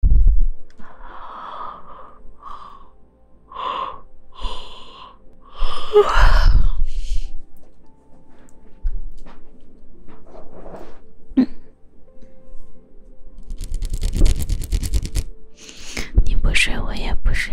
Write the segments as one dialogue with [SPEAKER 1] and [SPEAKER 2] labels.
[SPEAKER 1] 嗯，你不睡，我也不睡。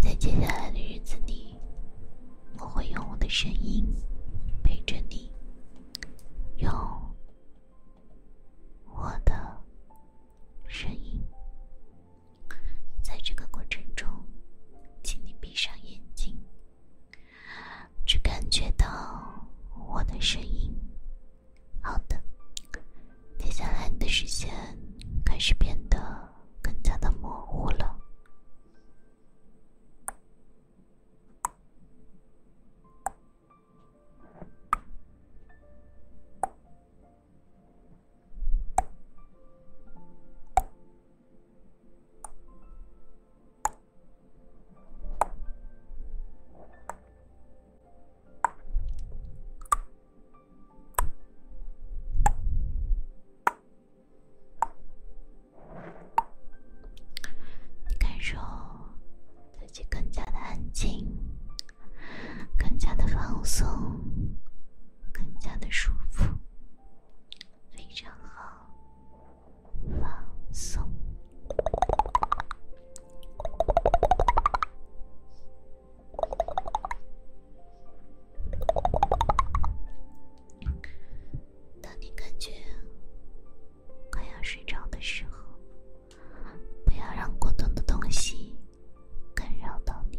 [SPEAKER 1] 在接下来的日子里，我会用我的声音陪着你，用我的声音。在这个过程中，请你闭上眼睛，只感觉到我的声音。好的，接下来你的视线开始变得更加的模糊了。感受自己更加的安静，更加的放松，更加的舒服，非常好。放松。当你感觉快要睡着的时候，不要让过多的东西干扰到你。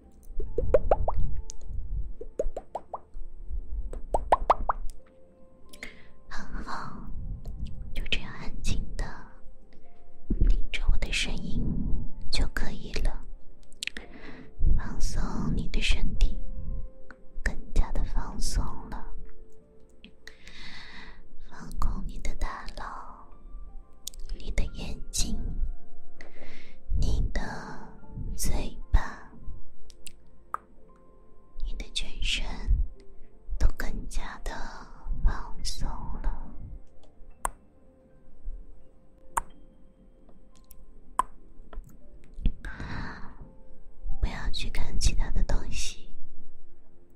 [SPEAKER 1] 很好，就这样安静的听着我的声音就可以了。放松你的身体，
[SPEAKER 2] 更加的放松了。放空
[SPEAKER 1] 你的大脑，你的眼睛，你的。嘴巴，你的全身都更加的放松了。不要去看其他的东西，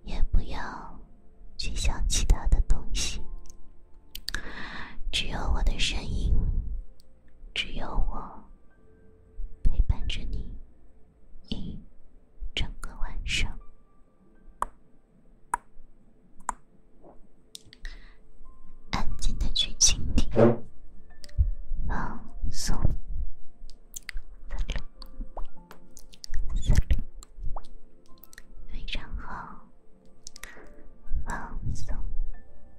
[SPEAKER 1] 也不要去想其他的东西。只有我的声音，只有我陪伴着你一整个晚上，
[SPEAKER 3] 安静的去倾听，
[SPEAKER 2] 放松，四六非常好，放松。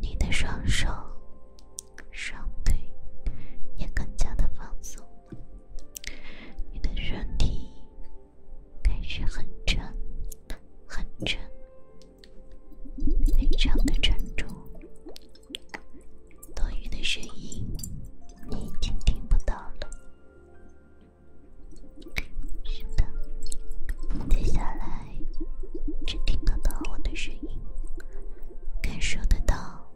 [SPEAKER 1] 你的双手、双腿也更加的放松，你的身体开始很沉、很沉，非常的沉重。多余的声音你已经听不到了。是的，接下来。只听得到我的声音，感受得到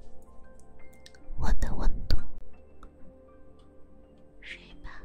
[SPEAKER 1] 我的温度，睡吧。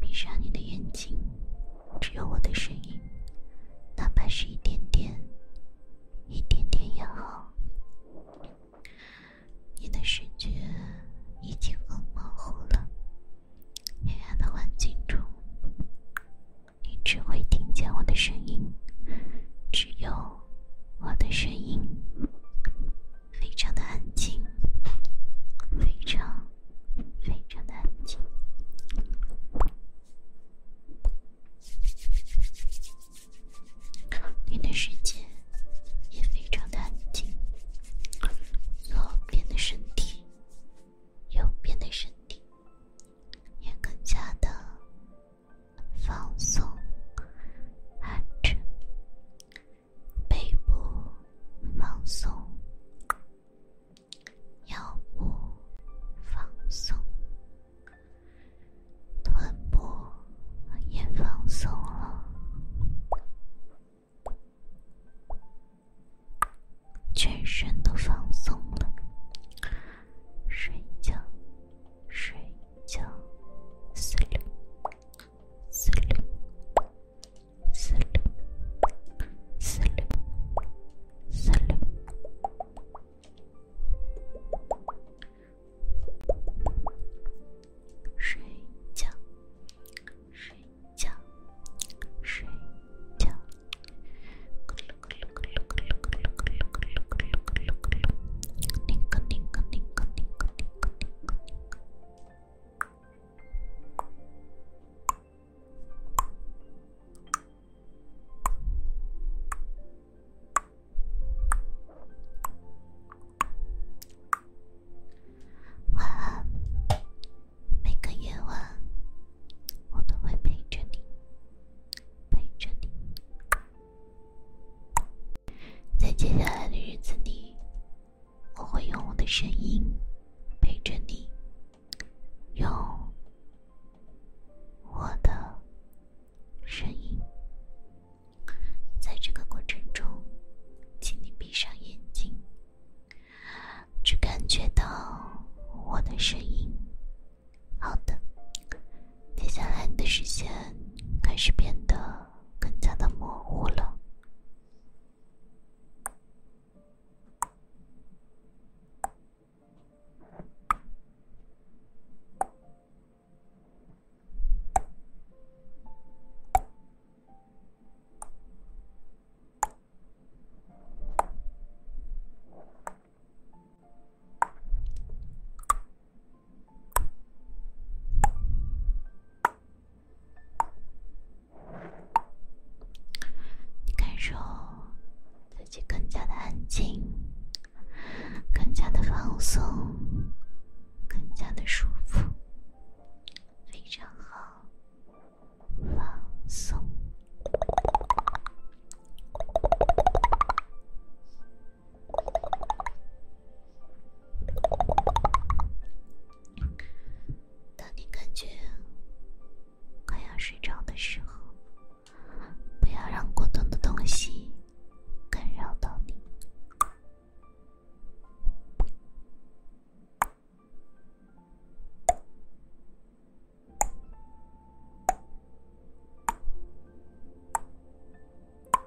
[SPEAKER 1] 闭上你的眼睛，只有我的声音，哪怕是一点点，一点点也好。你的视觉已经很模糊了，黑暗的环境中，你只会听见我的声音，只有。我的声音非常的安
[SPEAKER 3] 静，非常非常的安静。
[SPEAKER 1] 你的世界也非常的安静。左边的身体，右边的身体，也更加的。放松，哈着，
[SPEAKER 2] 背部放松，腰部放松，臀部
[SPEAKER 1] 也放松了，全身都放松了，睡觉，睡。九
[SPEAKER 2] 睡觉睡觉睡觉咯咯咯咯晚
[SPEAKER 1] 安。每个夜晚，我都会陪着你，陪着你。在接下来的日子里，我会用我的声音陪着你。用我的声音，在这个过程中，请你闭上眼睛，只感觉到我的声音。好的，接下来你的视线开始变得更加的模糊了。你感受自己更加的安静，更加的放松，更加的舒服，非常好，放松。当你感觉快要睡着的时候，不要让咕咚的东西干扰到你。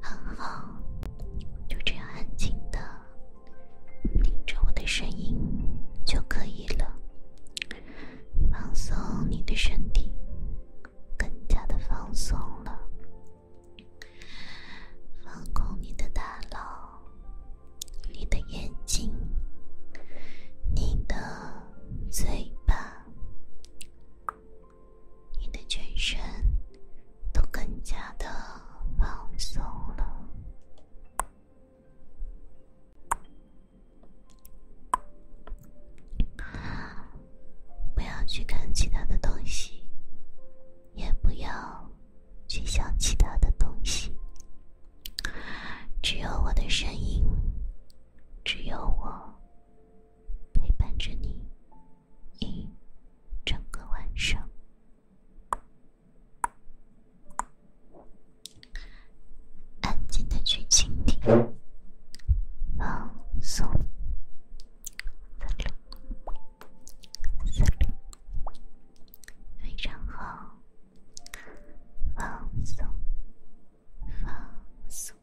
[SPEAKER 1] 很好，就这样安静的听着我的声音就可以了。放松你的身体，更加的放松了。放空你的大脑，你的眼睛，你的嘴巴。你的全身都更加的放松了，不要去看其他的东西，也不要去想其他的东西，只有我的声音，只有我。陪伴着你一整个晚上，
[SPEAKER 2] 安静的去倾听，放松，非常好，放松，放松。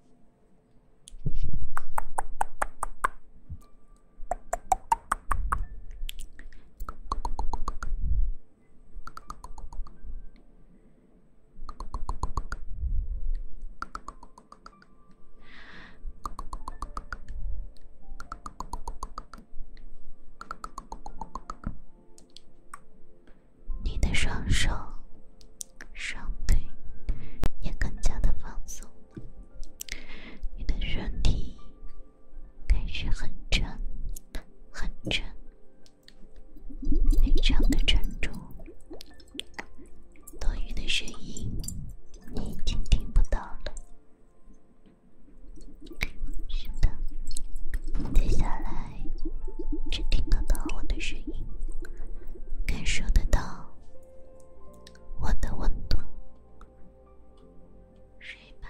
[SPEAKER 1] 你的双手。双腿也更加的放松，你的身体开始很沉、很沉，非常的沉重。多余的声音你已经听不到了，是的，接下来只听得到我的声音，感受得到。我的温度，睡吧。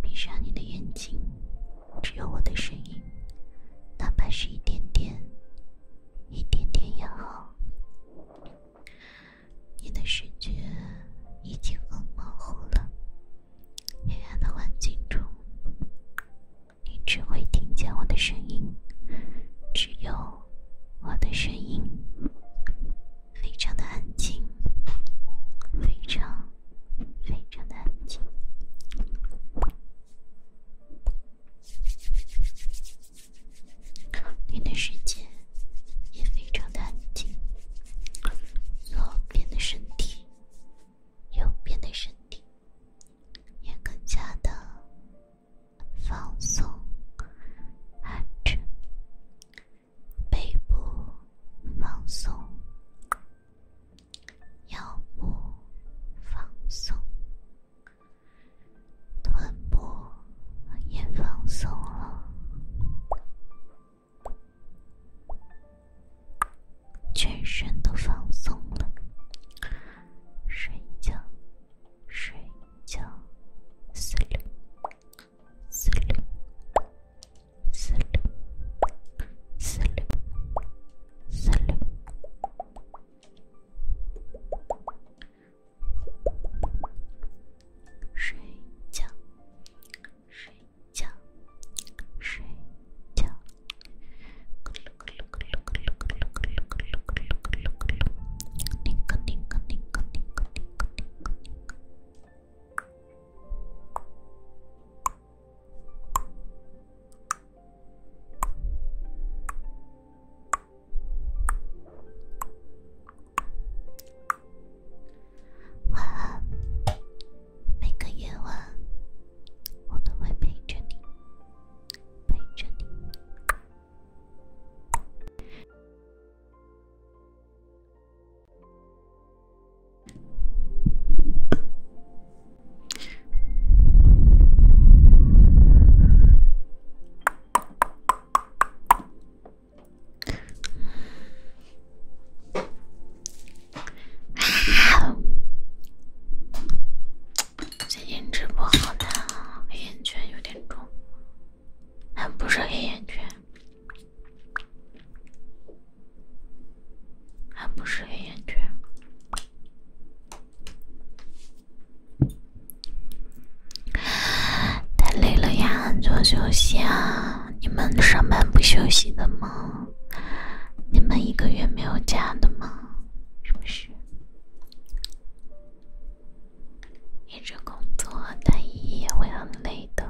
[SPEAKER 1] 闭上你的眼睛，只有我的声音，哪怕是一点点，一点点也好。你的视觉已经很模糊了，黑暗的环境中，你只会听见我的声音，只有我的声音。非常的安静，非常非常的安静，你的世界也非常的安静，左边的身体，右边的身体，也更加的放松、安全。
[SPEAKER 2] 背部放松，腰部放松，臀部
[SPEAKER 1] 也放松了，全身都放松了，睡觉，睡觉，睡。四六，四六，四六，四六，睡觉，睡觉，睡觉，咯咯咯咯咯咯咯咯咯咯咯咯咯咯咯咯咯咯，咯咯咯咯咯咯咯咯。晚安，每个夜晚，我都会陪着你，陪着你。哈喽，最近直播好难啊，黑眼圈有点重，还不是黑眼圈。还不是黑眼圈，太累了呀，做休息啊！你们上班不休息的吗？你们一个月没有假的吗？是不是？一直工作，但一会很累的。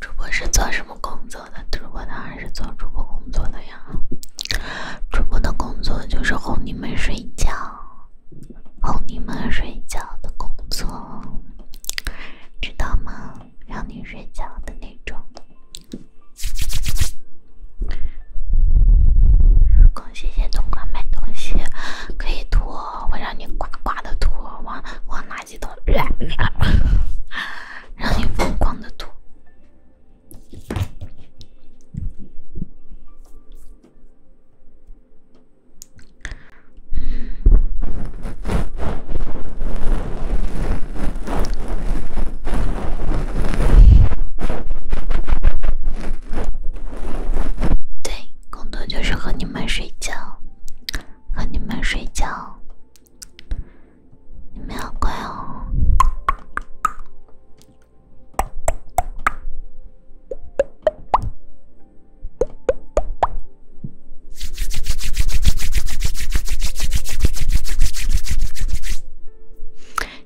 [SPEAKER 1] 主播是做什么工作的？主播当然是做主播工作的呀。主播的工作就是哄你们睡觉，哄你们睡觉的工作，知道吗？让你睡觉的那种。恭喜谢东莞买东西，可以拖，我让你呱呱的拖，往往垃圾桶。让你疯狂的吐。对，工作就是和你们睡觉，和你们睡觉。你们要乖哦！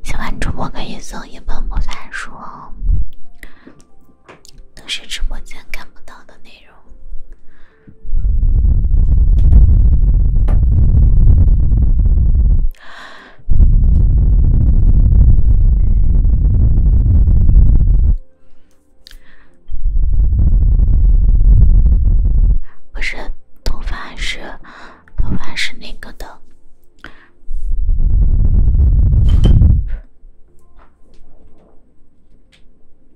[SPEAKER 1] 喜欢主播可以送一本魔法书哦，都是直播间看不到的内容。
[SPEAKER 3] 不是头发，是头发，是那个的。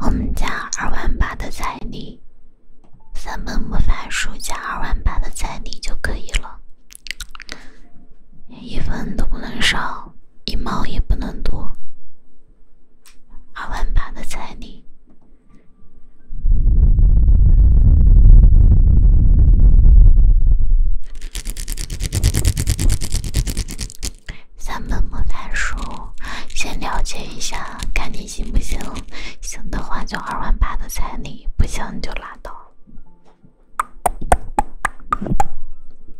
[SPEAKER 1] 我们家二万八的彩礼，三本魔法书加二万八的彩礼就可以了，一分都不能少，一毛也不能多。二万八的彩礼，三本莫谈书，先了解一下，看你行不行。行的话就二万八的彩礼，不行就拉倒。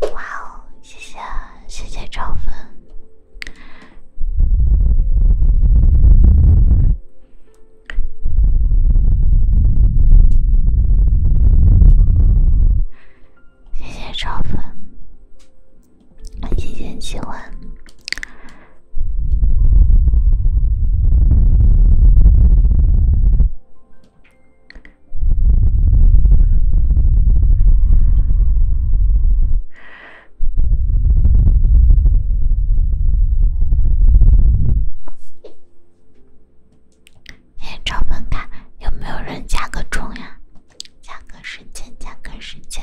[SPEAKER 1] 哇哦！谢谢谢谢超粉，谢谢超粉。谢谢喜欢。哎，招粉卡，有没有人加个钟呀？加个时间，加个时间。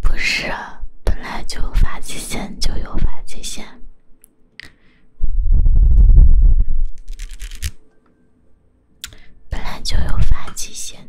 [SPEAKER 1] 不是，本来就发际线就有发际线。本来就有发际线。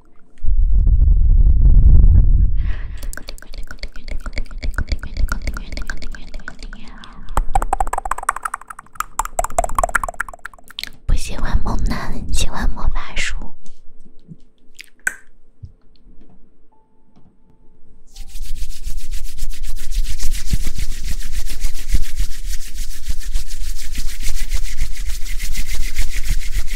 [SPEAKER 1] 不喜欢猛男，喜欢魔法书。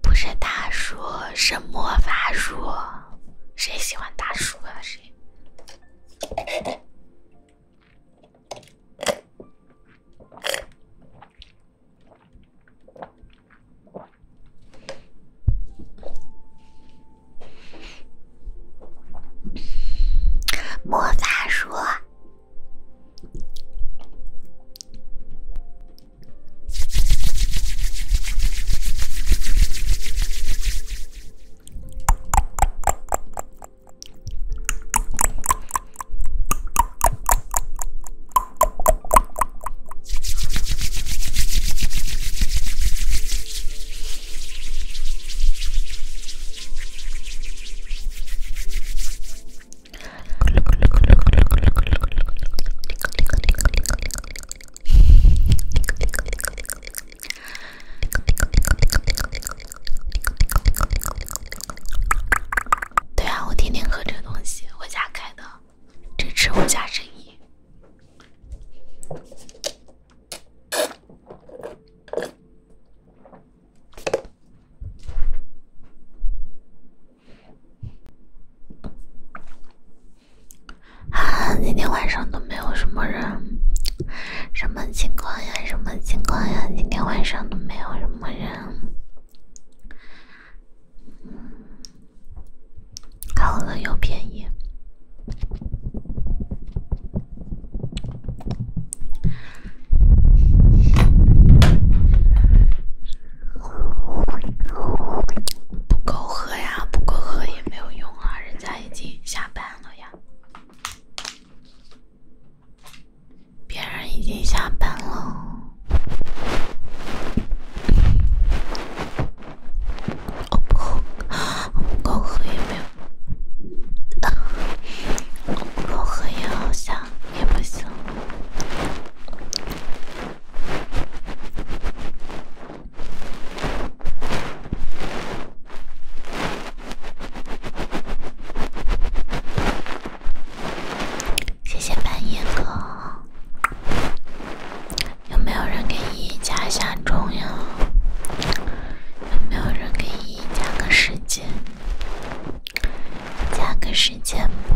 [SPEAKER 1] 不是大叔，是魔法术。谁喜欢大叔啊？谁？魔法书。对啊，我天天喝这个东西，我家开的，支持我家生意。啊，今天晚上都没有什么人，什么情况呀？什么情况呀？今天晚上都没有什么人，好了又便宜。不够喝呀，不够喝也没有用啊，人家已经下班了呀，别人已经下班了。我不，我光喝也没有，我光喝也好像也不行。谢谢半夜哥，有没有人给依依加下重呀？有没有人给伊伊加个时间？加个时间不？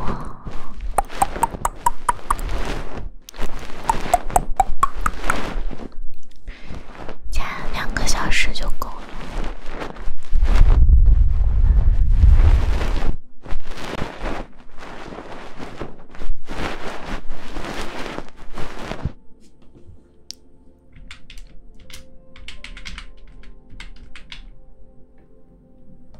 [SPEAKER 1] 加两个小时就够了。大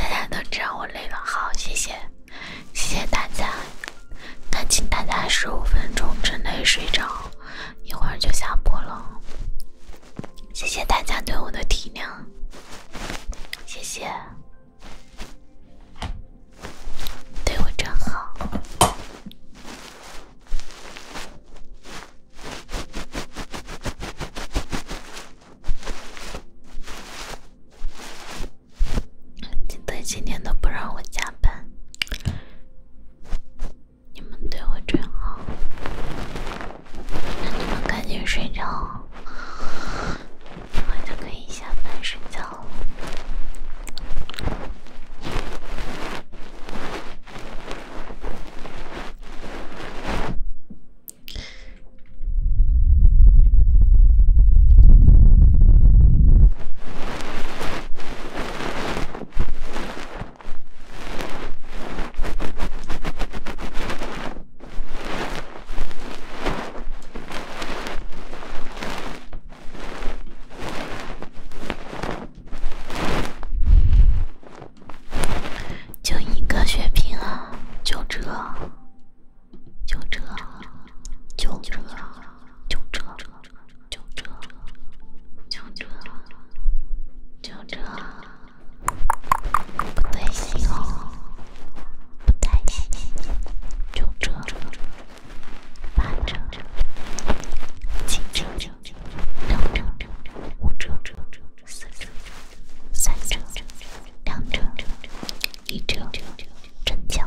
[SPEAKER 1] 家都知道我累了，好，谢谢，谢谢大家。那请大家十五分钟之内睡着。一会儿就下播了，谢谢大家对我的体谅，谢谢，对我真好，真的今天都不让我加班。你们对我真好，那你们赶紧睡着，我就可以下班睡觉了。就一个血瓶啊！就这！
[SPEAKER 3] 就这！就这！就这！九折，九折，九折，不对劲哦，不太行。九折，八折，七折，六折，五折，四折，三折，两折，一折，折，真香。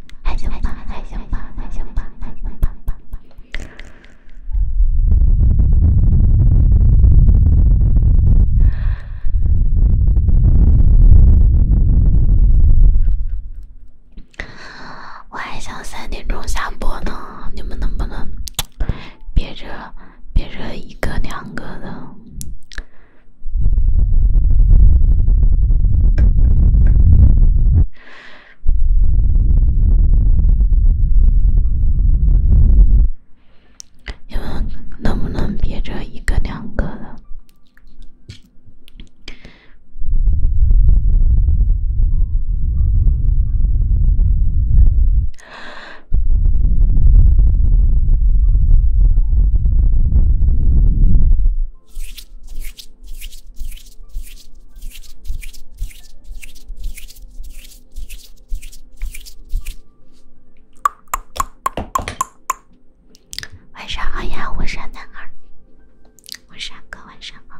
[SPEAKER 1] 还行吧，还行吧，还行吧，还行吧我还想三点钟下播呢，你们能不能憋着憋着一个两个的？你们能不能别这一个两个的？
[SPEAKER 3] 晚上好呀，我是男儿，我是阿哥，晚上好。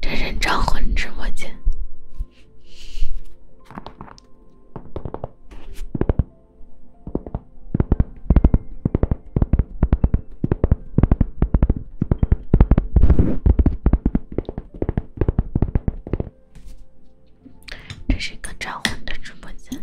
[SPEAKER 3] 这
[SPEAKER 1] 人渣混直播间。这是一个超红的直播间。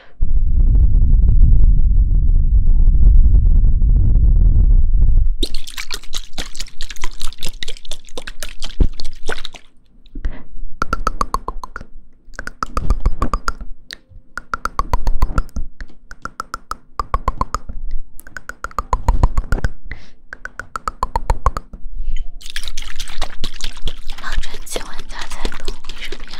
[SPEAKER 3] 老传奇玩家才懂，为什么呀？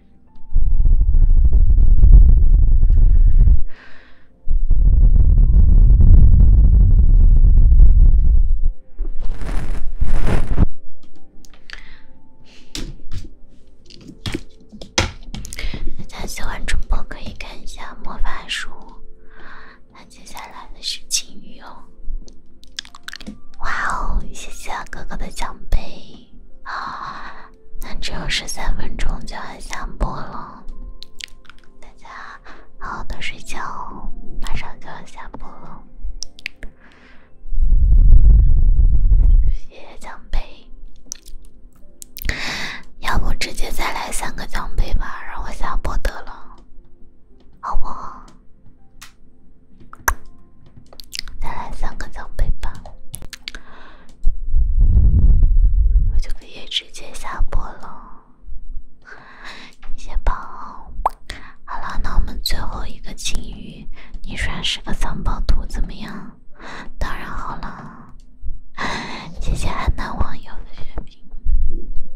[SPEAKER 1] 大家喜欢主播可以看一下魔法书。那接下来的是青鱼哦！哇哦，谢谢哥哥的奖杯啊！那只有十三分钟就要下播了，大家好好的睡觉，马上就要下播了。谢谢奖杯，要不直接再来三个奖杯吧，让我下播得了，好不好？再来三个奖杯吧。我就可以直接下播了，谢谢宝。好了，那我们最后一个金鱼，你刷十个藏宝图怎么样？当然好了。谢谢安南网友的血瓶，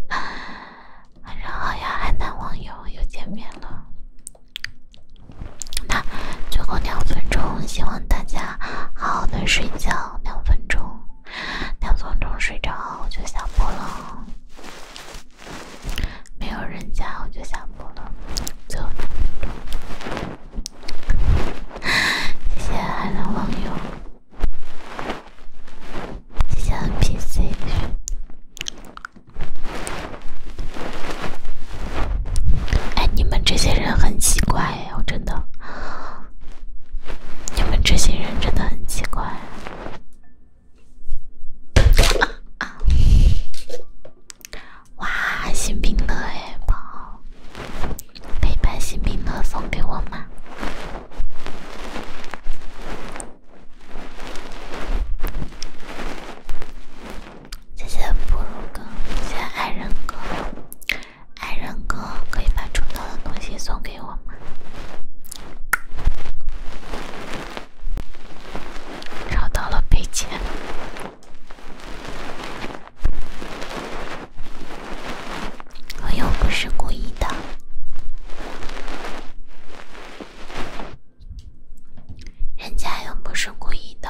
[SPEAKER 1] 晚上好呀，安南网友又见面了。那最后两分钟，希望大家好好的睡觉。两分钟，两分钟睡着我就下播了。没有人家我就下播了。最后两分钟，谢谢海南网友，谢谢 NPC。哎，你们这些人很奇怪。没有，真的。你们这些人真的很奇怪。哇，新冰乐哎宝，陪伴新冰乐送给我吗？谢谢布鲁哥，谢谢爱人哥。爱人哥，可以把重要的东西送给我吗？找到了赔钱，我又不是故意的，人家又不是故意的。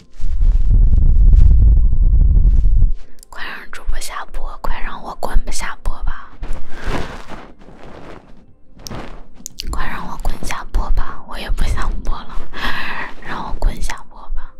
[SPEAKER 1] 快让主播下播！快让我滚吧下播吧！
[SPEAKER 3] 快让我滚下播吧！我也不想播了，让我滚下播吧！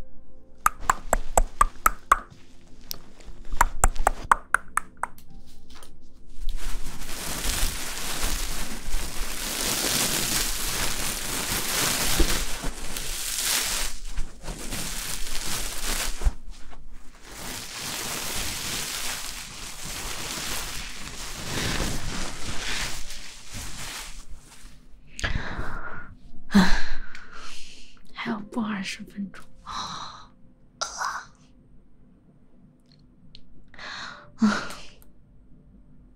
[SPEAKER 3] 唉，
[SPEAKER 1] 还要播二十分钟。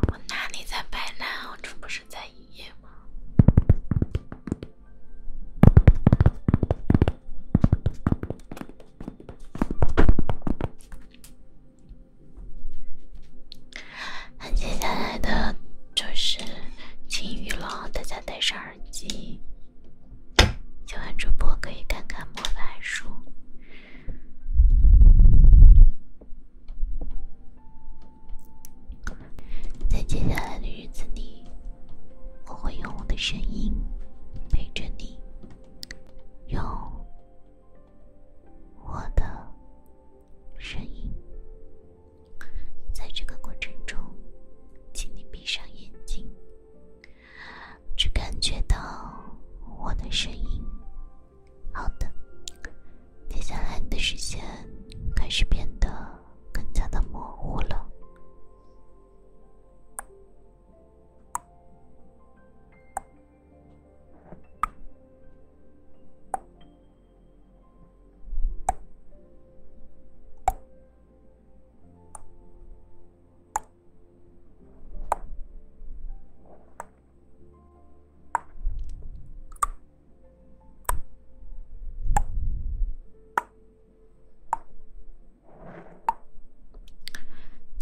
[SPEAKER 1] 我哪里在摆烂？我这不是在营业吗？那接下来的就是晴雨了，大家戴上耳机，喜欢主播可以看看魔法书。在接下来的日子里，我会用我的声音陪着你，用我的声音。在这个过程中，请你闭上眼睛，只感觉到我的声音。好的。接下来，你的视线开始变得更加的模糊了。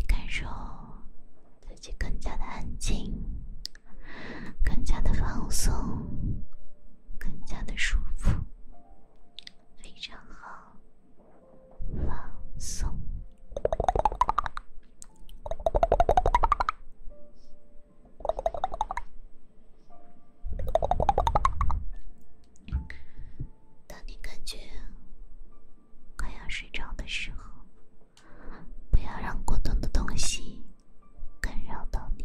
[SPEAKER 1] 感受自己更加的安静，更加的放松，更加的舒服，非常好，放松。当你感觉快要睡着的时候，不要让咕咚的东西干扰到你。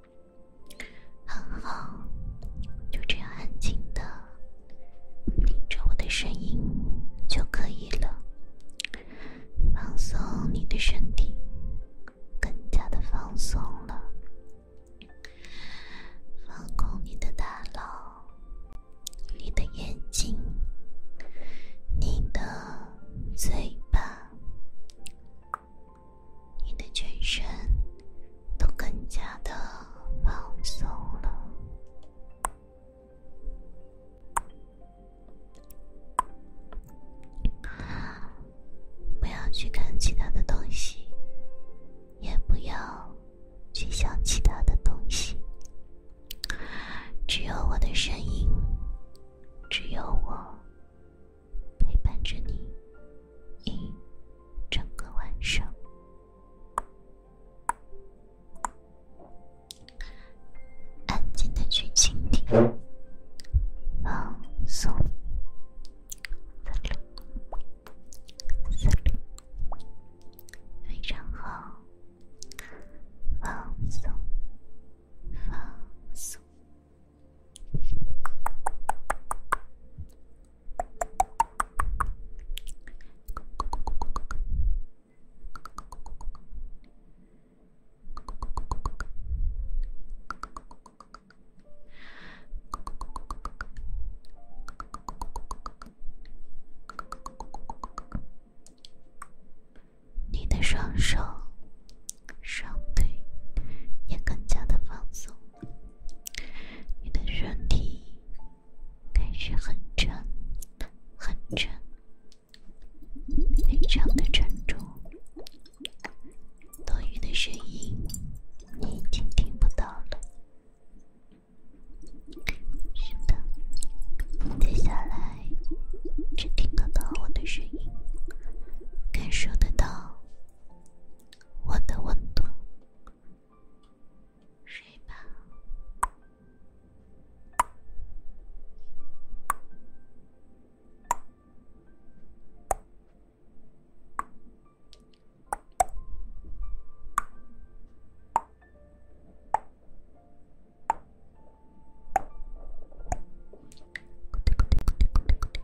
[SPEAKER 1] 很好，就这样安静的听着我的声音就可以了。放松你的身体，更加的放松了。放空你的大脑，你的眼睛，你的嘴巴。你的全身都更加的放松了，不要去看其他的东西，也不要去想其他的东西，只有我的声音，只有我。陪伴着你一整个晚上，
[SPEAKER 3] 安静的去倾听，
[SPEAKER 2] 放松，六六，非常好，放松，放松。
[SPEAKER 1] 你的双手、双腿也更加的放松。你的身体开始很沉，很沉，非常的沉重。多余的声音你已经听不到了。是的，接下来只听得到我的声音，感受得到。我的温度，睡吧。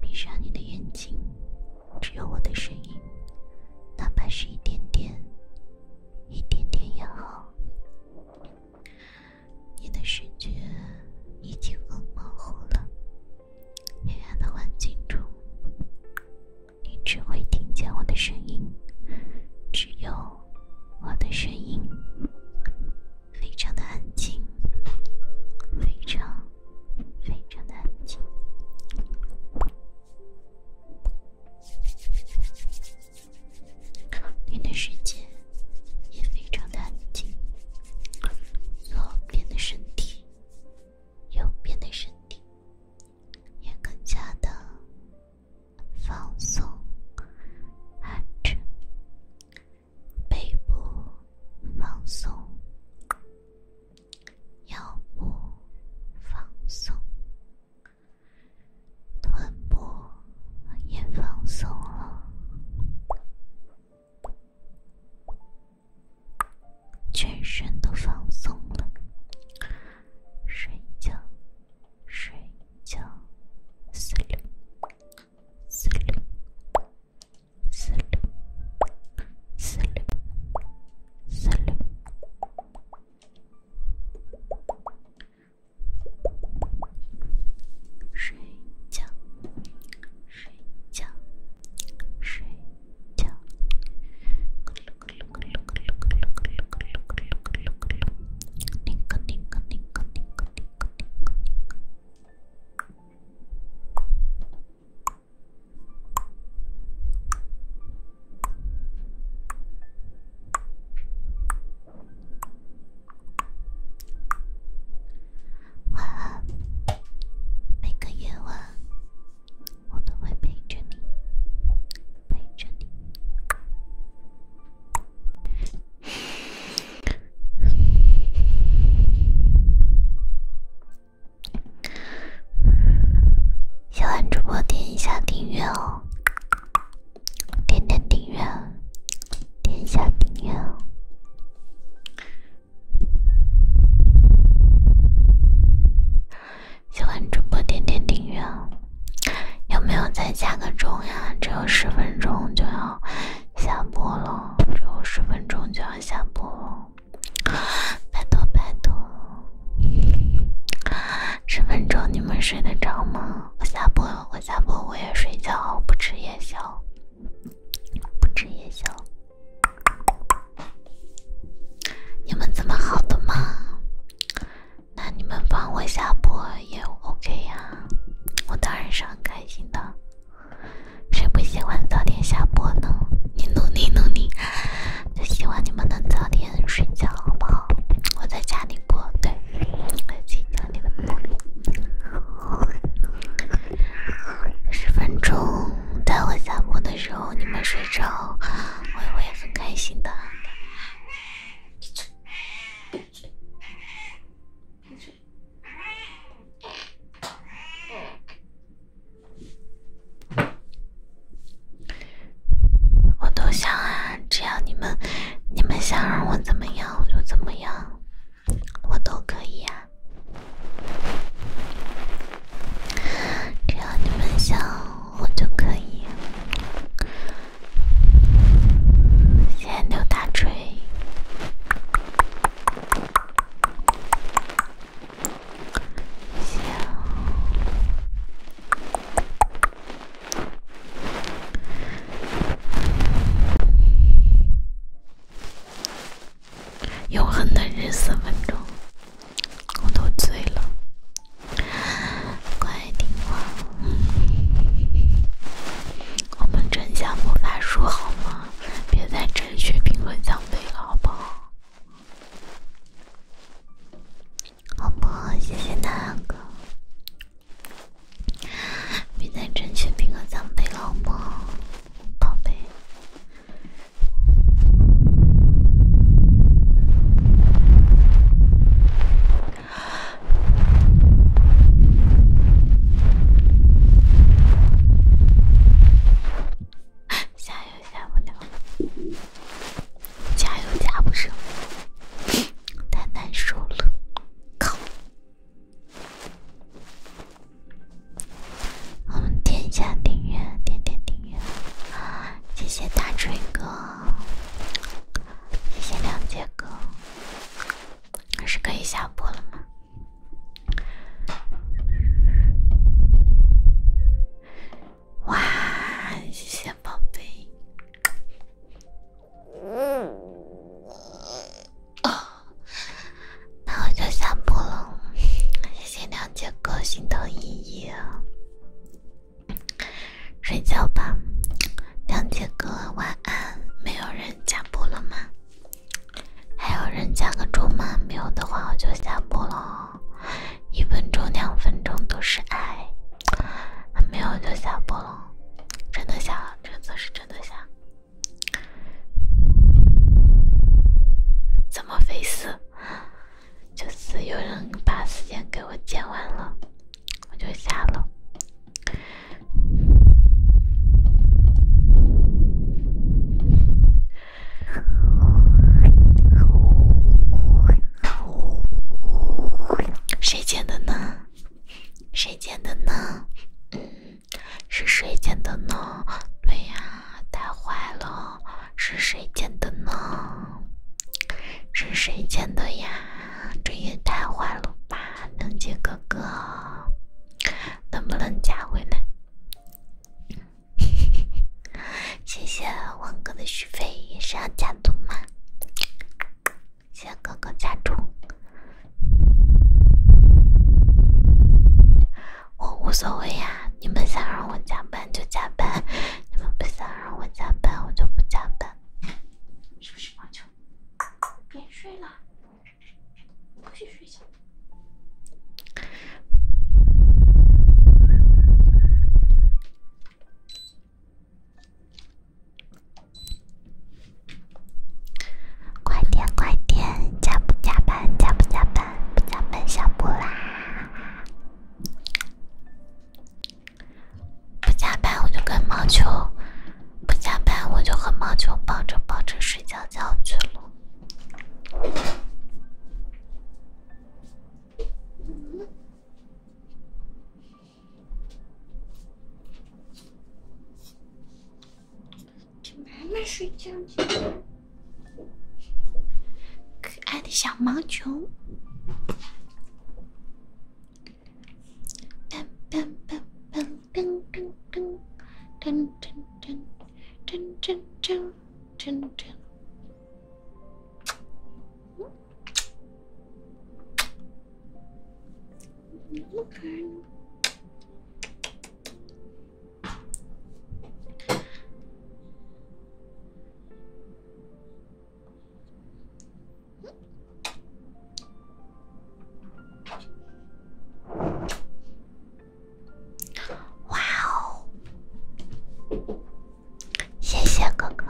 [SPEAKER 1] 闭上你的眼睛，只有我的声音，哪怕是一点点，一点点也好。你的视觉已经很模糊了，黑暗的环境中，你只会听见我的声音，只有我的声音。非常的安静，非常非常的安静，你的世界也非常的安静，左边的身体，右边的身体也更加的
[SPEAKER 2] 放松、安全。背部放松，腰部放松，臀部也放松了，
[SPEAKER 1] 全身都放松了，睡觉，睡觉，睡，
[SPEAKER 3] 睡。四六，四六，四六，睡觉，睡觉，睡觉，咕噜咕噜咕噜咕噜咕噜咕噜咕噜咕噜咕噜咕噜咕噜咕噜咕噜咕噜咕噜。
[SPEAKER 1] 晚安，每个夜晚我都会陪着你，陪着你。喜欢主播点一下订阅哦，点点订阅，点一下订阅。喜欢主播点点订阅有没有再加个钟呀？只有十分钟就要下播了，只有十分钟就要。我下播，拜托拜托，十分钟你们睡得着吗？我下播，我下播，我也睡觉，不吃夜宵，不吃夜宵。你们这么好的吗？那你们帮我下播也 OK 呀，我当然是很开心的。谁不喜欢早点下播呢？你努力努力，就希望你们能早点睡觉，好不好？我在家里播，对，我在家等你们。十分钟在我下播的时候，你们睡着，我也会很开心的。我都想啊，只要你们，你们想让我怎么样，我就怎么样，我都可以呀。只要你们想，我就可以。谢谢刘大锤。
[SPEAKER 3] 行。永
[SPEAKER 1] 恒的日四分钟，我都醉了。乖，听话，我们整下魔法书好吗？别再争取平衡奖杯了，好不好？好不好？谢谢大哥，别再争取平衡奖杯了，好吗，宝贝？加油，下不了！加油，加不上！太难受了，靠！我们点一下订阅，点点订阅。谢谢大锤哥，谢谢亮杰哥。可是可以下播了吗？哇，谢谢宝贝！那我就下播了。谢谢梁姐哥心疼依依，睡觉吧，梁姐哥晚安。没有人加播了吗？还有人加个钟吗？没有的话我就下播了一分钟、两分钟都是爱，没有就下播了。真的下了，这次是真的下。怎么回事？就是有人把时间给我减完了，我就下了。谁捡的呢？谁捡的呢？嗯，是谁捡的呢？对呀，太坏了！是谁捡的呢？是谁捡的呀？这也太坏了吧，能姐哥哥，能不能加回来？谢谢王哥的续费，也是要加足吗？谢谢哥哥加足，我无所谓呀。你们想让我加班就加班，你们不想让我加班我就不加班。是不是我就别睡了。快点快点，加不加班？加不加班？不加班，下班啦！不加班我就跟毛球，不加班我就和毛球抱着抱着睡觉觉去了。给满满睡觉去，可爱的小毛球。噔噔噔噔噔噔噔噔噔。Dun, dun, dun, dun, dun.
[SPEAKER 3] Okay. 哇哦！谢谢哥哥，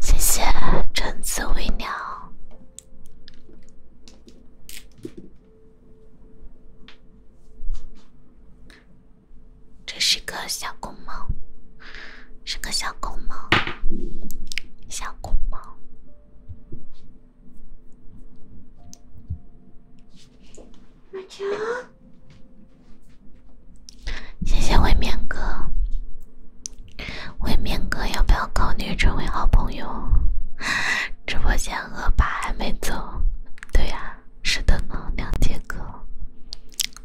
[SPEAKER 1] 谢谢橙子微凉。这是个小公猫，是个小公猫，小公猫。谢谢未眠哥。未明哥要不要考虑成为好朋友？直播间恶霸还没走，对呀，是的呢，两节课，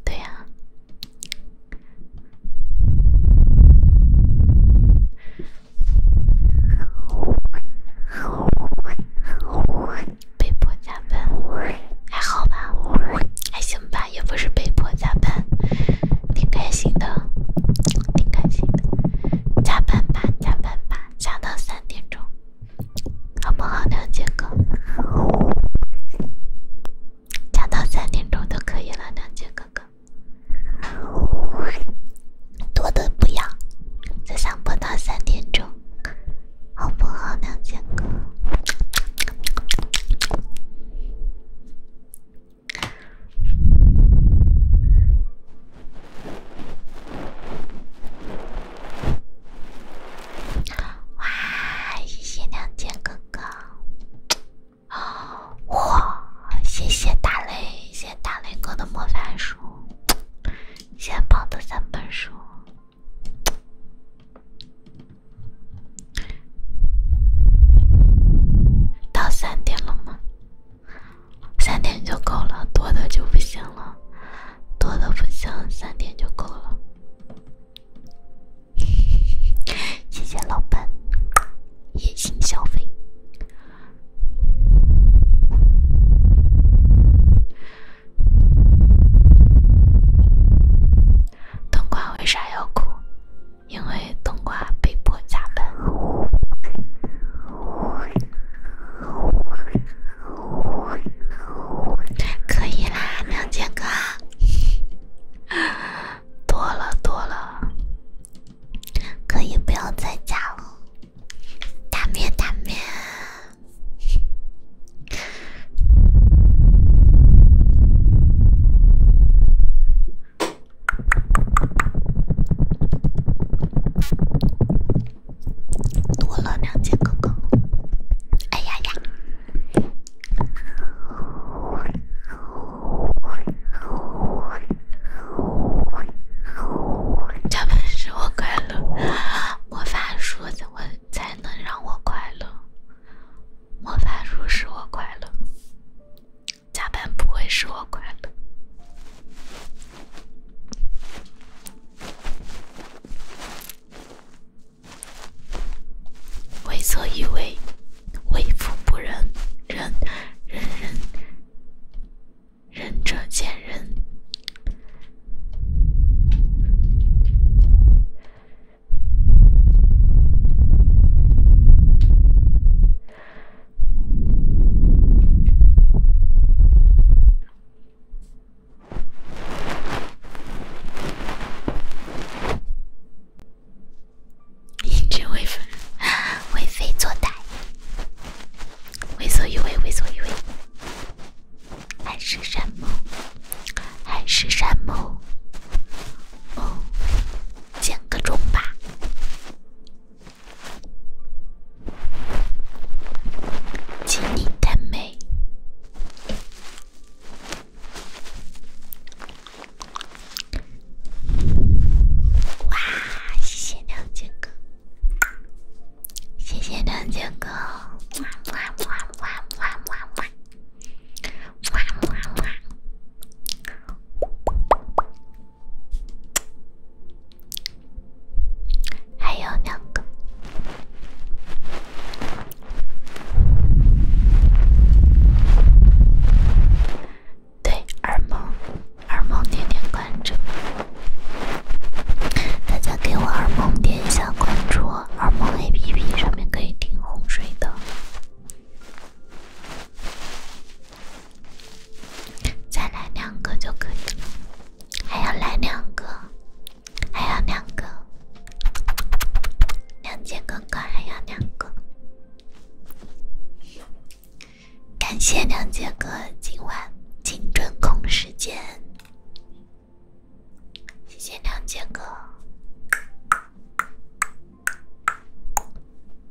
[SPEAKER 1] 对呀，被迫加班，还好吧，还行吧，也不是被迫加班。挺开心的，挺开心的，加班吧，加班吧，加到三点钟，好不好，梁杰哥？加到三点钟都可以了，梁杰哥哥，多的不要，只想播到三点钟，好不好，梁杰哥？哇！谢谢亮剑哥哥。哇！谢谢大雷，谢谢大雷哥的魔法书，谢谢捧的三本书。到三点了吗？三点就够了，多的就不行了，多的不行，三点就够了。谢谢老板，野心消费。灯光为啥要哭？因为冬瓜被迫加班，可以啦，亮剑哥，多了多了，可以不要再加了，打面打面。多了两截哥哥。哎呀呀！教本使我快乐，魔法书怎么才能让我快乐？魔法书使我快乐。加班不会使我快乐。为则以为，为富不仁，仁仁仁仁者见仁。一直为非，为非作歹，为所欲为，为所欲为。海誓山盟，海誓山盟，哦，见个钟吧。锦你太美！哇，谢谢两杰哥，谢谢两杰哥，么么么么么么么，么么么。还有两个，对二梦，二梦点点关注，大家给我二梦点一下关注，二梦 A P P 上面可以听哄睡的。再来两个就可以了，还要来两个，还要两个，亮节哥哥还要两个，感谢亮节哥今晚精准控时间，谢谢亮节哥。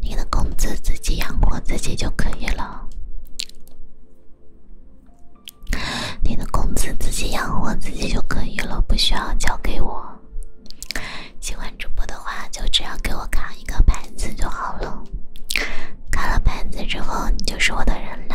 [SPEAKER 1] 你的工资自己养活自己就可以了。你的工资自己养活自己就可以了，不需要交给我。喜欢主播的话，就只要给我卡一个牌子就好了。卡了牌子之后，你就是我的人了。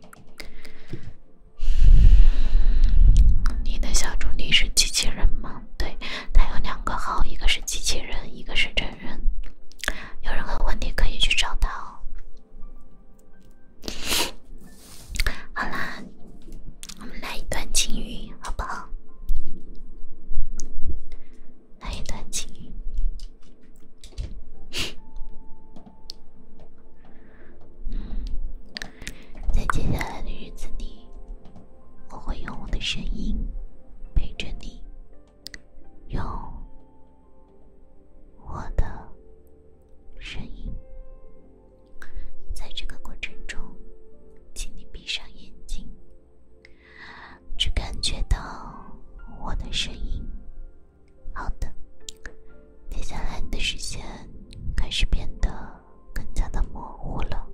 [SPEAKER 1] 你的小助理是机器人吗？对，他有两个号，一个是机器人，一个是真人。有任何问题可以去找他哦。好啦，我们来一段情语，好不好？来一段情语。在接下来的日子里，我会用我的声音陪着你。用我的声音，在这个过程中，请你闭上眼睛，只感觉到我的声音。好的，接下来你的视线开始变得更加的模糊了。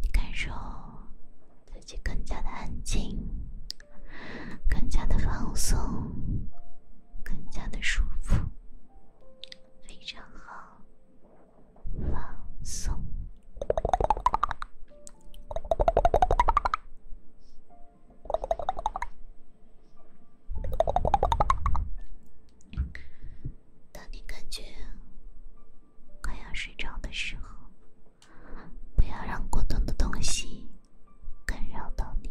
[SPEAKER 1] 你感受自己更加的安静，更加的放松，更加的舒服，非常
[SPEAKER 2] 好，放松。
[SPEAKER 1] 当你感觉快要睡着的时候，不要让过咚的东西干扰到你。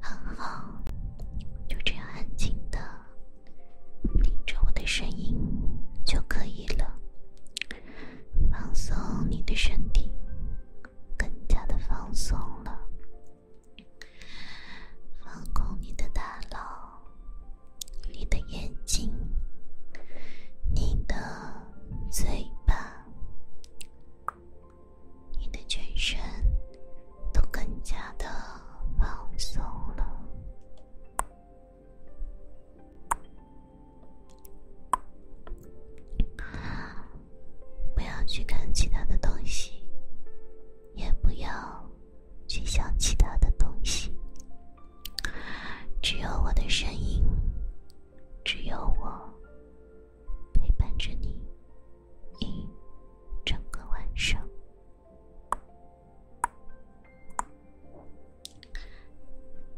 [SPEAKER 1] 很好，就这样安静的听着我的声音就可以了。放松你的身体，
[SPEAKER 2] 更加的放松了。放
[SPEAKER 1] 空你的大脑，你的眼睛，你的嘴巴。你的全身都更加的放松了，不要去看其他的东西，也不要去想其他的东西，只有我的声音。只有我陪伴着你一整个晚上，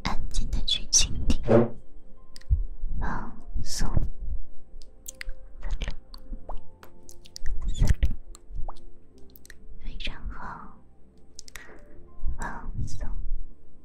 [SPEAKER 2] 安静的去倾听，放松，三六四六，非常好，放松。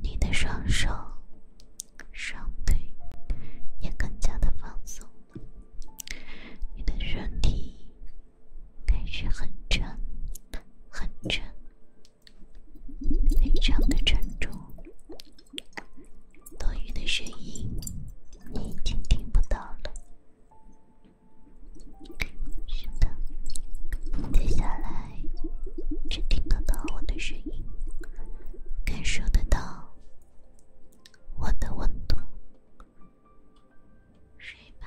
[SPEAKER 1] 你的双手、双腿也更加的放松你的身体开始很沉、很沉，非常的沉重。多余的声音你已经听不到了，是的，接下来只听得到我的声音。感受得到我的温度，睡吧。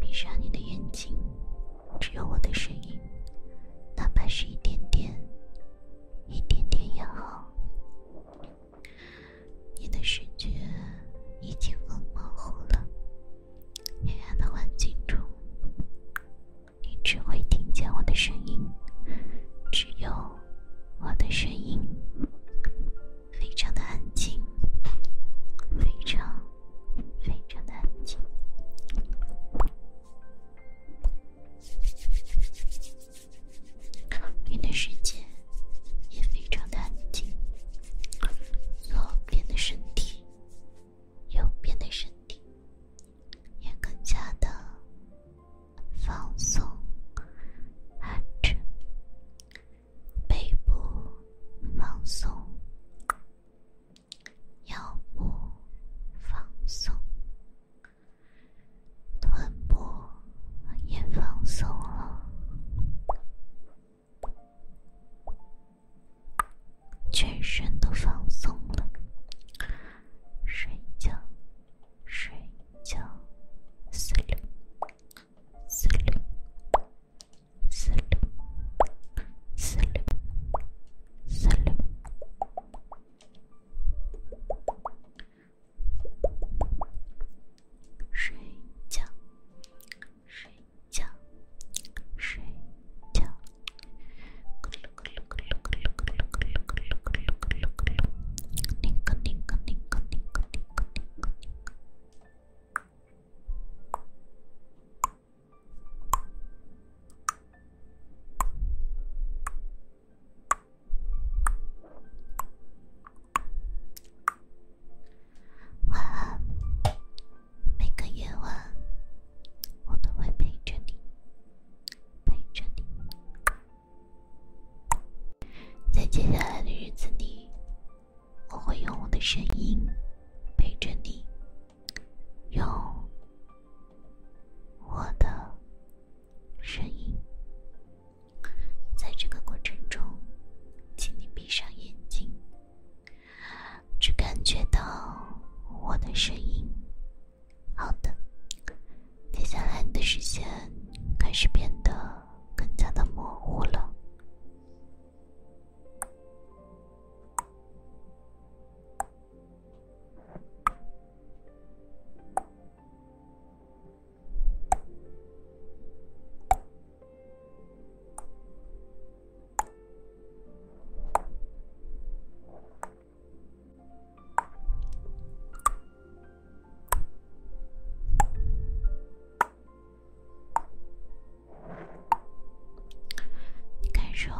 [SPEAKER 1] 闭上你的眼睛，只有我的声音，哪怕是一点点，一点点也好。你的视觉已经很模糊了，黑暗的环境中，你只会听见我的声音，只有。我的声音非常的安静，非常非常的安静。我的世界也非常的安静。左边的身体，右边的身体，也更加的。放松，哈欠。
[SPEAKER 2] 背部放松，腰部放松，臀部也放松了，
[SPEAKER 3] 全身
[SPEAKER 1] 都放松了，睡觉，
[SPEAKER 2] 睡。九四六四六四
[SPEAKER 3] 六四晚
[SPEAKER 1] 安，每个夜晚，我都会陪着你，陪着你。在接下来的日子里，我会用我的声音陪着你，用我的声音。在这个过程中，请你闭上眼睛，只感觉到我的声音。好的，接下来你的视线开始变得。更加的模糊了。感受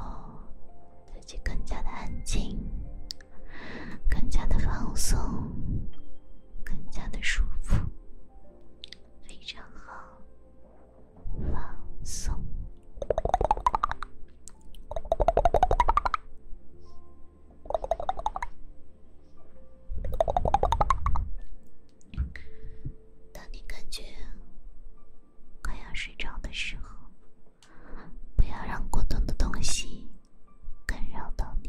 [SPEAKER 1] 自己更加的安静，更加的放松，更加的舒服，非常
[SPEAKER 2] 好，放松。
[SPEAKER 1] 当你感觉快要睡着的时候，不要让过重的东西干扰到你。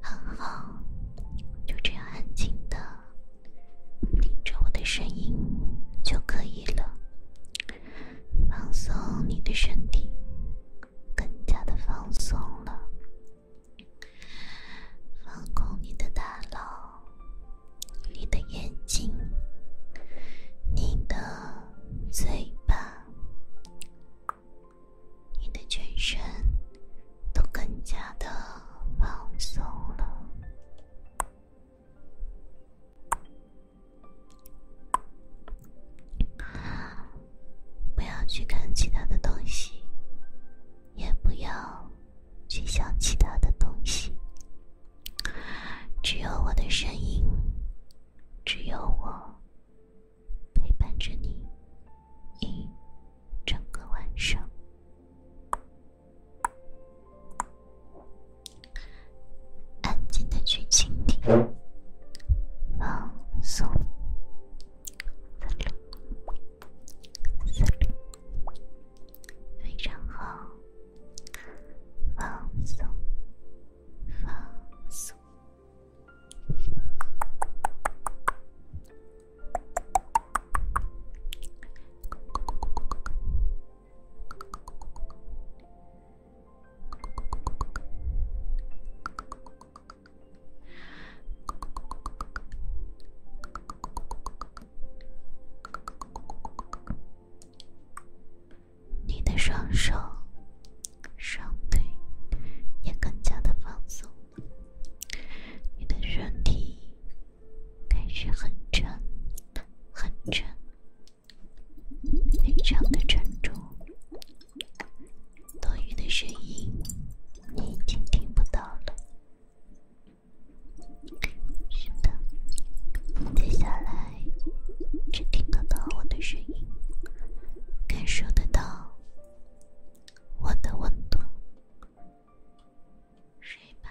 [SPEAKER 1] 很好，就这样安静的听着我的声音就可以了。放松你的身体，更加的放松了。放空你的大脑，你的眼睛，你的嘴巴。你的全身都更加的放松了，不要去看其他的东西，也不要去想其他的东西，只有我的声音，只有我。陪伴着你一整个晚上，
[SPEAKER 3] 安静的去倾听，
[SPEAKER 2] 放松，六六，非常好，放松，放松。
[SPEAKER 1] 你的双手。双腿也更加的放松你的身体开始很沉，很沉，非常的沉重。多余的声音你已经听不到了，是的，接下来只听得到我的声音，感受得到。我的温度，睡吧。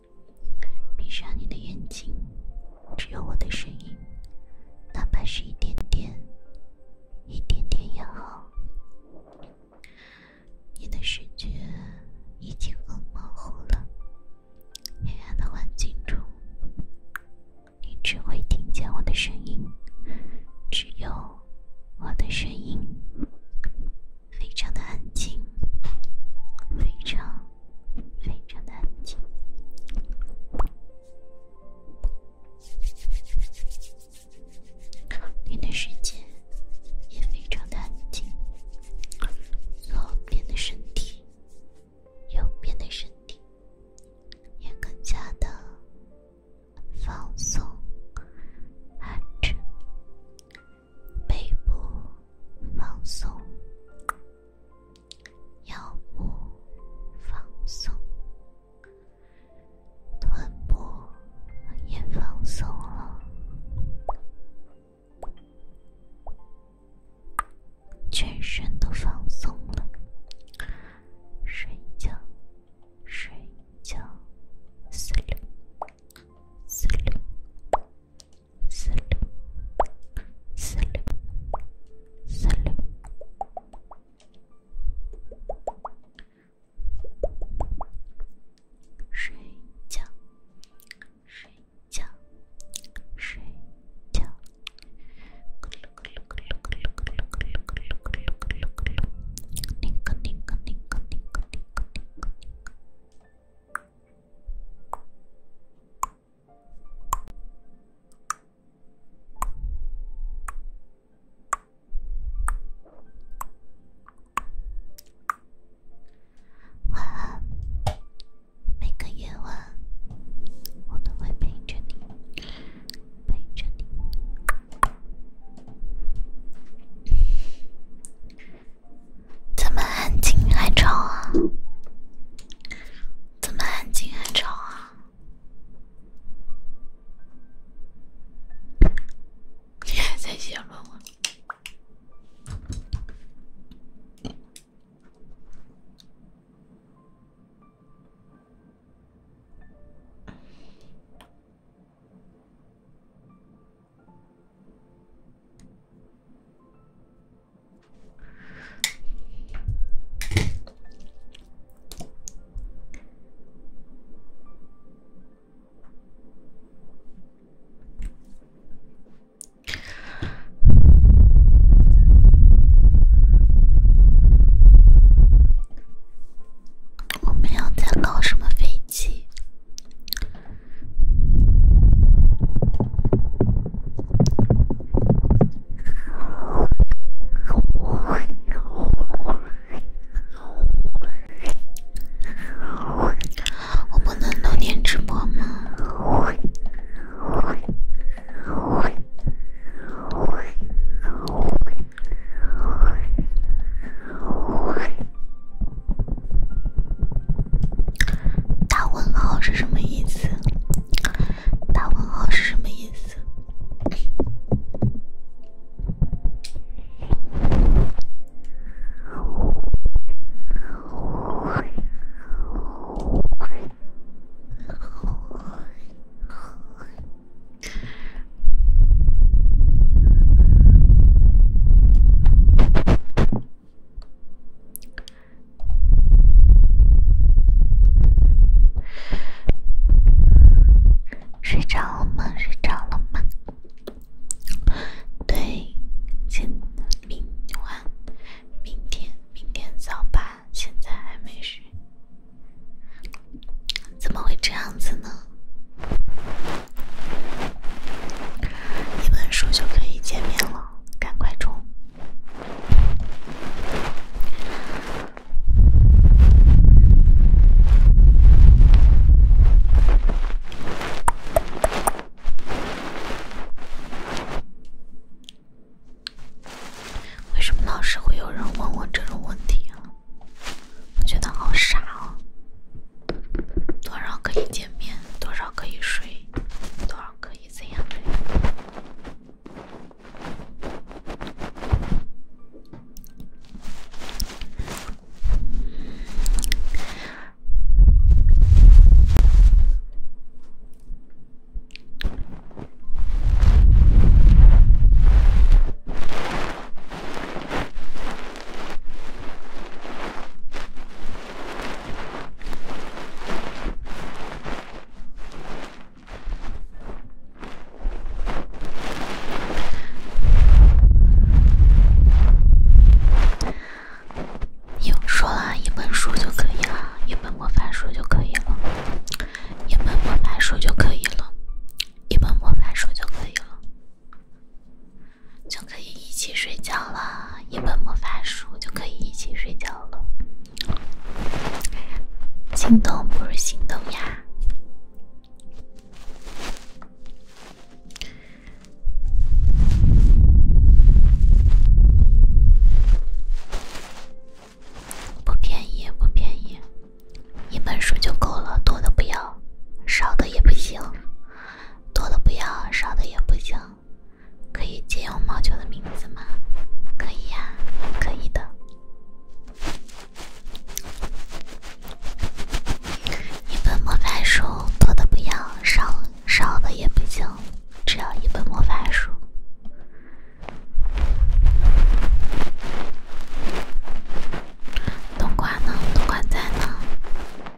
[SPEAKER 1] 闭上你的眼睛，只有我的声音，哪怕是一点点，一点点也好。你的视觉已经很模糊了，黑暗的环境中，你只会听见我的声音，只有我的声音。非常的安静，非常非常的安静。你的世界也非常的安静。左边的身体，右边的身体，
[SPEAKER 2] 也更加的放松、安全。背部放松，腰部放松，臀部
[SPEAKER 1] 也放松了，全身都放松了，睡觉，睡觉，睡，
[SPEAKER 3] 睡。四六四六四六，睡觉睡觉睡觉，咕噜咕噜咕噜咕噜咕噜咕噜咕噜咕噜咕噜咕噜咕噜，咕哩咕哩咕哩咕哩咕哩咕哩。
[SPEAKER 1] 晚安，每个夜晚，我都会陪着你，陪着你。怎么安静还吵啊？怎么安静还吵啊？你还在写论文。我没有在搞什么飞机。我不能当天直播吗？大问号是什么意思？大问号是什么意思？睡着了吗？睡着了吗？对，今、明、晚、明天、明天早八，现在还没睡。怎么会这样子呢？一本书就可以见面了。赶快冲！为什么老是会有人问我这种问题啊？我觉得好傻哦。多少可以见面？多少可以睡？多少可以怎样？有说了一本书就可以了，一本魔法书就可以了，一本魔法书就可以了，一本魔法书就可以了，一本魔法书就可以了。就可以一起睡觉了，一本魔法书就可以一起睡觉了。心动不如行动呀！不便宜，不便宜，一本书就够了，多的不要，少的也不行，多的不要，少的也不行。可以借用毛球的名字吗？可以呀，可以的。一本魔法书，多的不要，少少的也不行，只要一本魔法书。冬瓜呢？冬瓜在呢。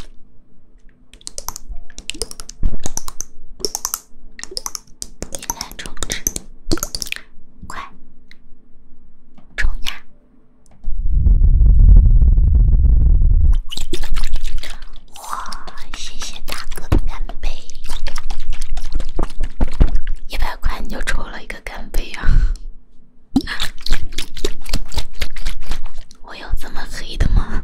[SPEAKER 1] 现在充值，快冲呀！哇，谢谢大哥的干杯，一百块你就抽了一个干杯啊。我有这么黑的吗？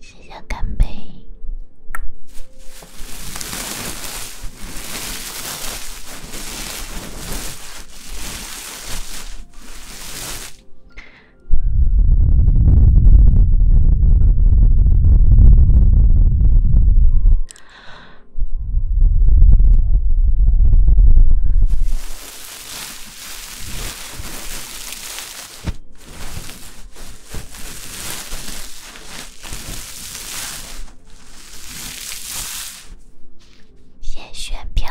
[SPEAKER 1] 谢谢干杯。先选票。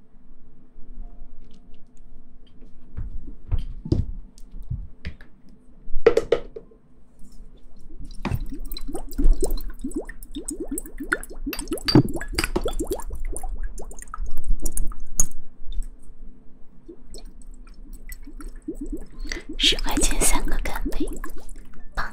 [SPEAKER 3] 十块钱三个，干杯，棒！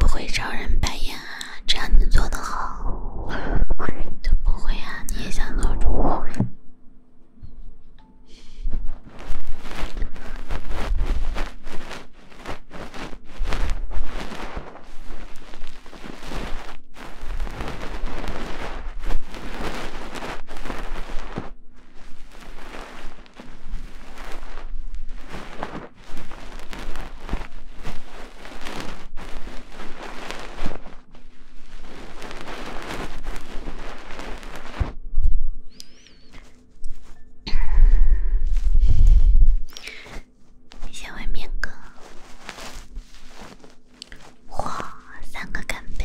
[SPEAKER 1] 不会招人白眼啊。只要你做得好，都不会啊！你也想做主播？小文明哥，哇，三个干杯！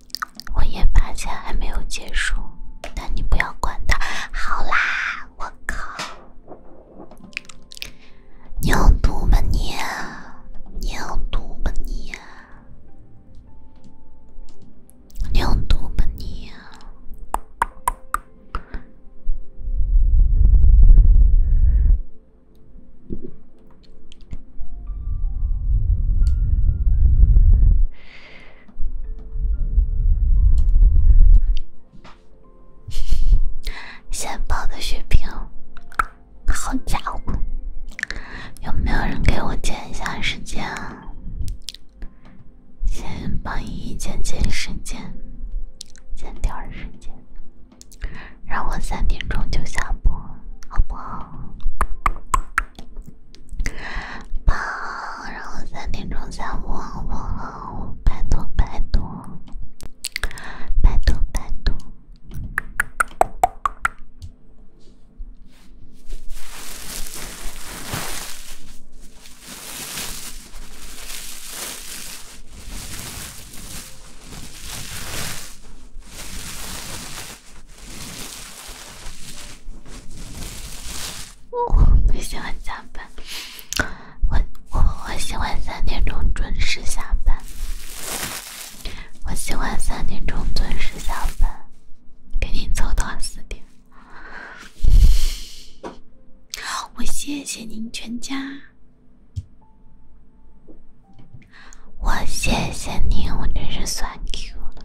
[SPEAKER 1] 我也发现还没有结束，但你不要管他。好啦，我靠，你有毒吧你？你有毒吧你？你有毒吧你？先 报的血瓶，好家伙！有没有人给我减一下时间啊？先帮依依减减时间，减点时间，让我三点钟就下播，好不好？好，然后三点钟下播，拜托拜托，拜托拜托。我不喜欢加班，我我我喜欢三点钟准时下班。我喜欢三点钟准时下班，给你凑到四点。我谢谢您全家，我谢谢您，我真是酸 Q 了。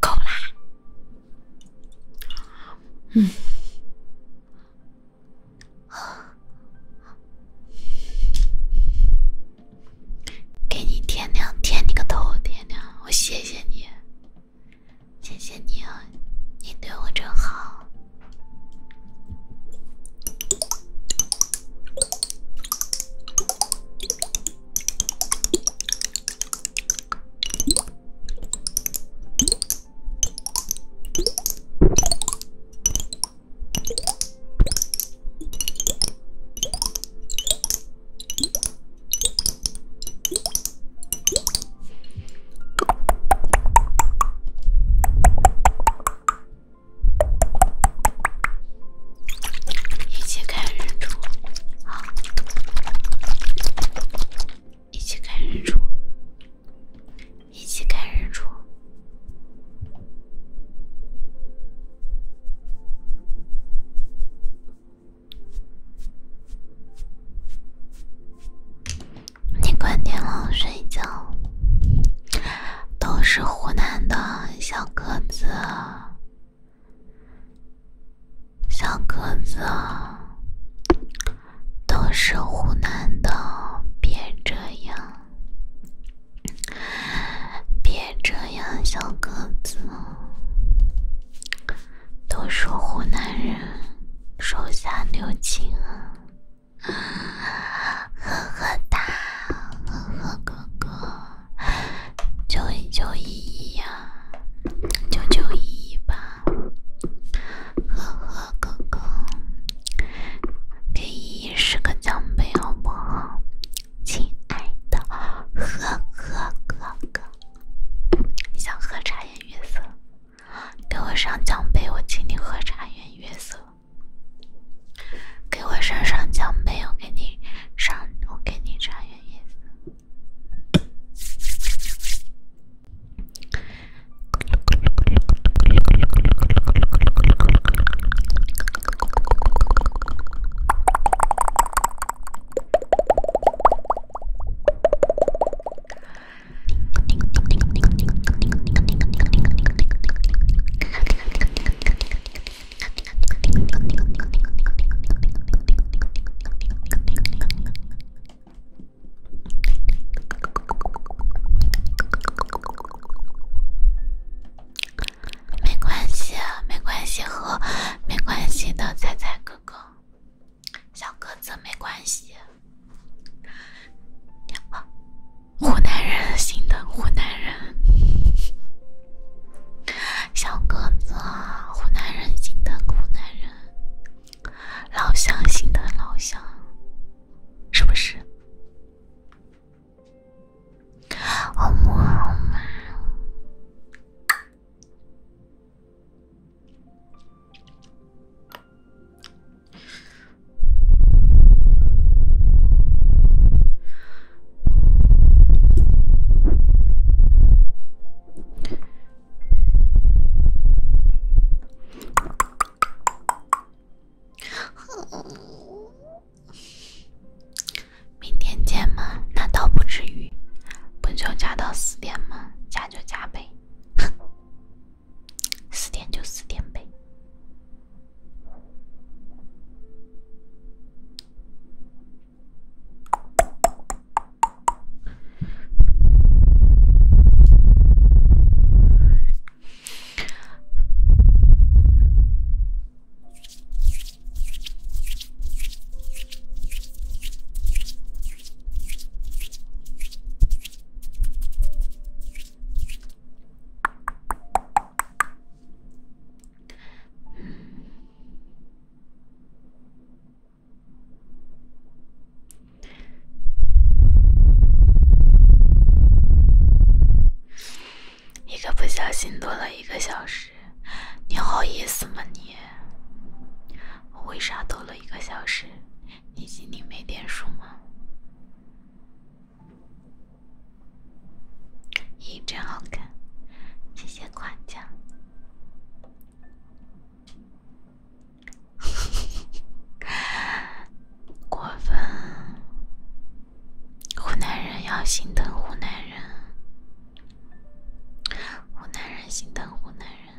[SPEAKER 1] 够啦！嗯，给你点亮，点你个头，点亮，我谢谢你。谢谢你，你对我真好。一起看日出，好。一起看日出，一起看日出。你快点脑睡觉，都是湖南的小个子，小个子，都是湖南的，别这样，别这样，小个子，都是湖南人，手下留情啊。啊，呵呵哒，呵呵哥哥，救一救依依呀，救救依依吧！呵呵哥哥，给依依十个奖杯好不好？亲爱的，呵呵哥哥，想喝茶颜悦色。给我上奖杯，我请你喝茶颜月色。给我上上奖杯，我给你上，我给你茶颜月色。没关系，没关系和没关系的，彩彩哥哥。小个子没关系。湖南人心疼湖南人，小个子，湖南人心疼湖南人，老乡心疼老乡，
[SPEAKER 3] 是不是？好嘛好嘛。
[SPEAKER 1] 明天见吗？那倒不至于，不就加到四点吗？加就加呗。四点就四点呗。一个不小心多了一个小时，你好意思吗你？为啥多了一个小时？你心里没点数吗？咦，真好看，谢谢夸奖。过 分，湖南人要心疼湖南人，湖南人心疼湖南人。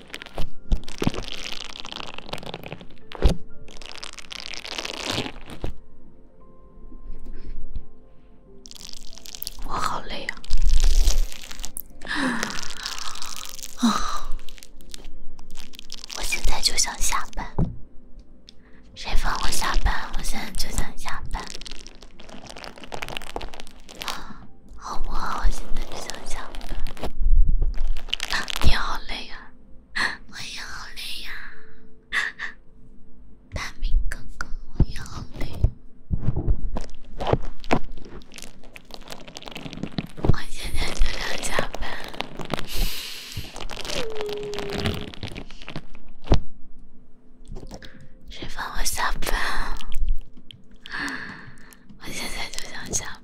[SPEAKER 1] 我好累呀！啊，我现在就想下班，谁放我下班？我现在就想下班。好不好？现在就想班。你好累呀，我也好累呀，大 明哥哥，我也好累。我现在就要加班，谁帮我下班？我现在就想下班。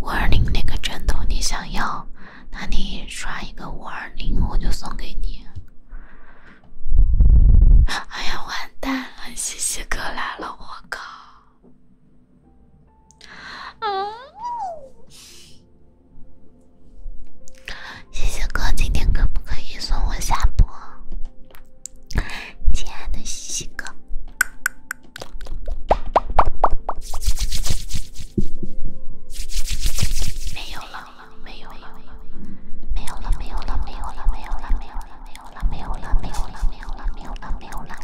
[SPEAKER 1] 五二零那个枕头你想要？那你刷一个五二零，我就送给你。哎呀，完蛋了，谢谢哥来了，我靠！谢谢哥，今天可不可以送我下播？亲爱的西西哥，没有了，没有了，没有了，没有了，没有了，没有了，没有了。没有。没有了，没有了，没有了，没有了，没有了，没有了，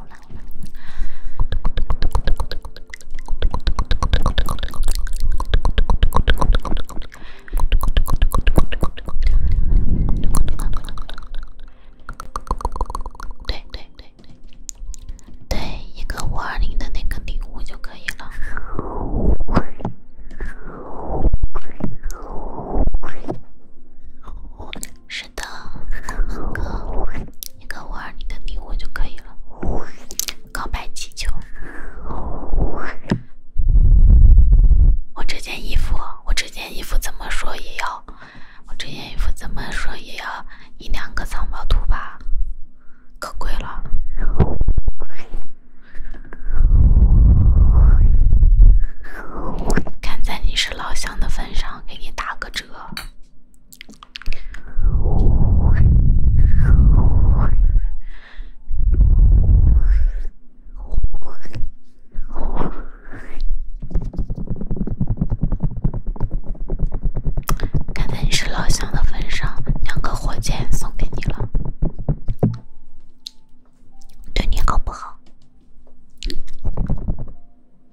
[SPEAKER 1] 对对对对，对一个五二零的那个礼物就可以了。是的，哥，你给我二你的礼物就可以了。告白气球，我这件衣服，我这件衣服怎么说也要，我这件衣服怎么说也要一两个藏宝图吧，可贵了。看在你是老乡的份上。给你打个折，看在你是老乡的份上，两个火箭送给你了，对你好不好？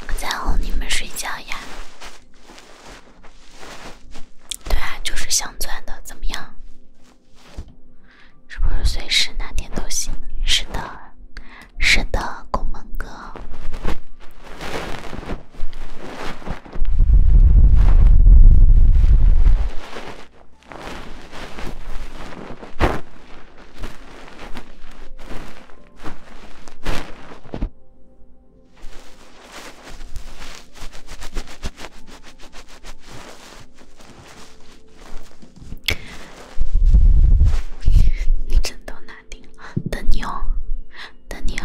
[SPEAKER 1] 我在哄你们睡觉呀。对啊，就是镶钻的，怎么样？是不是随时哪天都行？是的，是的，宫盟哥。你真都拿定了，等你哦，等你哦。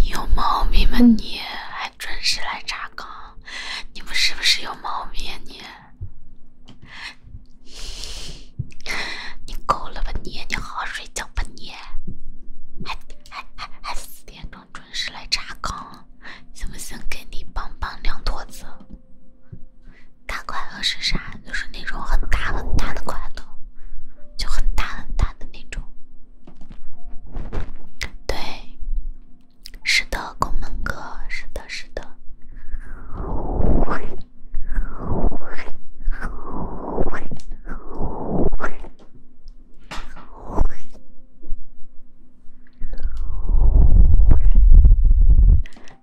[SPEAKER 1] 你有毛病吗？你还准时来查岗，你们是不是有毛病啊？你？你够了吧你？你好好睡觉吧你，还还还还四点钟准时来查岗，行不行？给你棒棒两坨子。大快乐是啥？就是那种很大很大的快乐，就很大很大的那种。对，是的，宫门哥，是的，是的。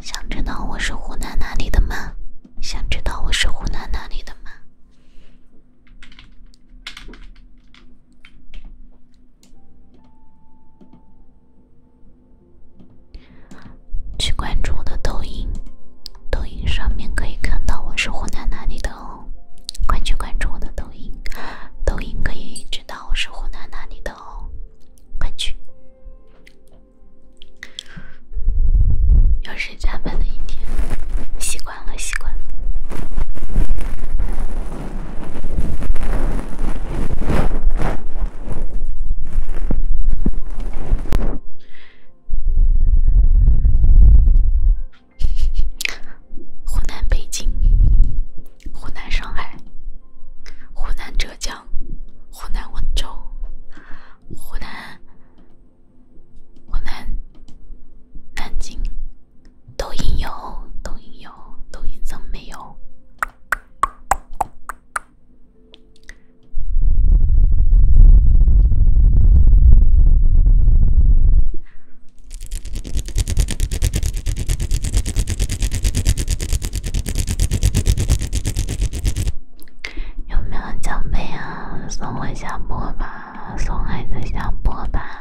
[SPEAKER 1] 想知道我是湖南哪里的吗？想知道我是湖南哪里的吗？去关注我的抖音，抖音上面可以看到我是湖南哪里的哦。快去关注我的抖音，抖音可以知道我是湖南哪里的哦。快去，又是加班的一天，习惯。习惯了习惯。湖南北京，湖南上海，湖南浙江，湖南温州，湖南湖南南京。抖音有，抖音有，抖音怎么没有？有没有奖杯啊？送我下播吧，送孩子下播吧。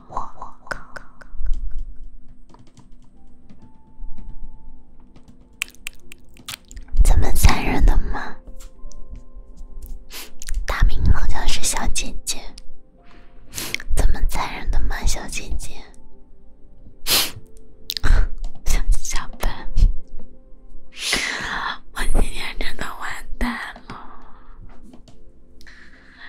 [SPEAKER 1] 我我靠！怎么残忍的吗？大名好像是小姐姐，怎么残忍的吗？小姐姐，小笨，我今天真的完蛋了。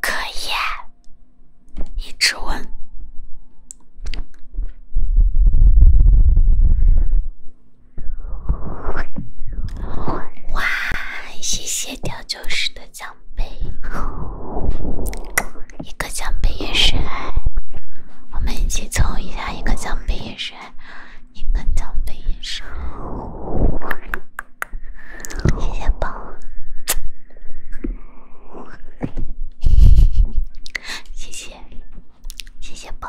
[SPEAKER 1] 可以，一直问。哇，谢谢调酒师的奖杯，一个奖杯也是爱，我们一起凑一下一个奖杯也是爱。一个奖杯一生，谢谢宝，谢谢，谢谢宝。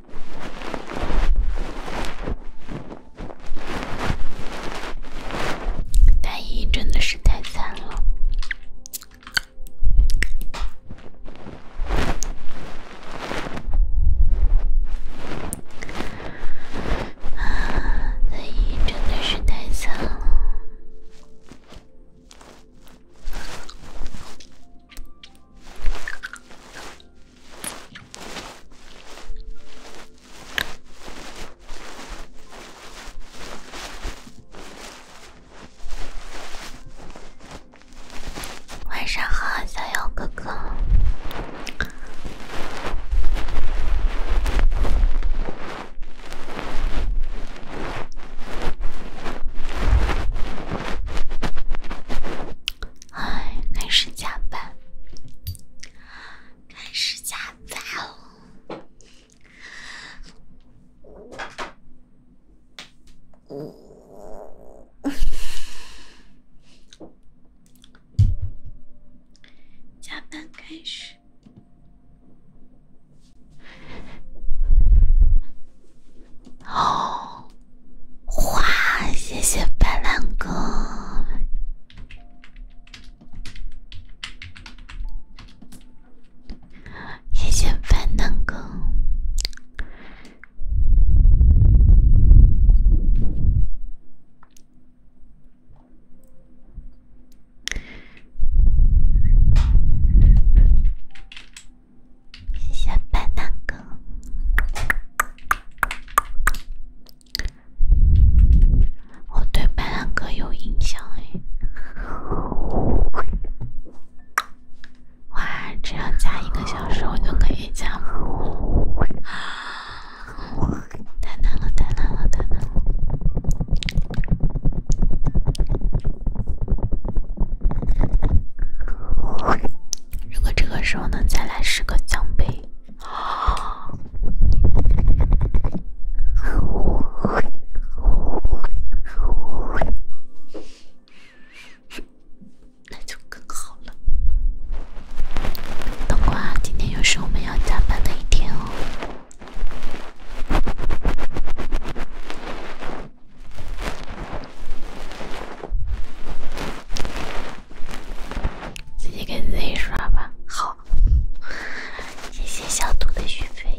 [SPEAKER 1] 太医真的是太惨了！太医真的是太惨了。晚上好，小妖哥哥。
[SPEAKER 3] 哎，开始
[SPEAKER 1] 加班，开始加班
[SPEAKER 3] 哦。
[SPEAKER 1] 加班开始。哦，哇！谢谢白兰哥，谢谢白狼哥。谢谢斑斓哥，我对斑斓哥有印象诶，哇，只要加一个小时我就可以加了，太难了太难了太难了。如果这个时候能再来十个奖杯，那就更好了。
[SPEAKER 3] 冬瓜，今天又是我们要加班的一天哦。自
[SPEAKER 1] 己给自己刷吧，好。谢谢小兔的续费。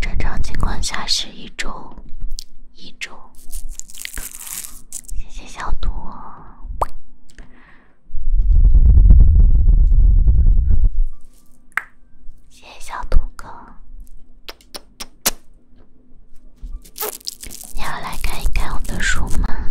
[SPEAKER 1] 正常情况下是一种。一周，谢谢小兔，谢谢小兔哥，你要来看一看我的书吗？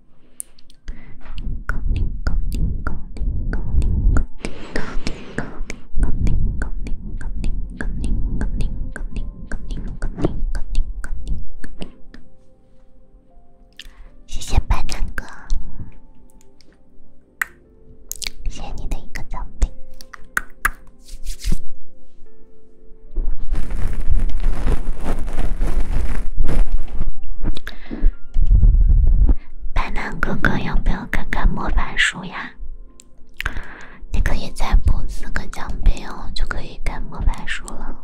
[SPEAKER 1] 谢谢零个哥，谢谢你的一个零品。白楠哥哥，要不要看看魔法书呀？你可以再补四个奖杯哦，就可以看魔法书了。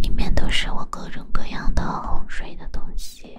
[SPEAKER 1] 里面都是我各种各样的哄睡的东西。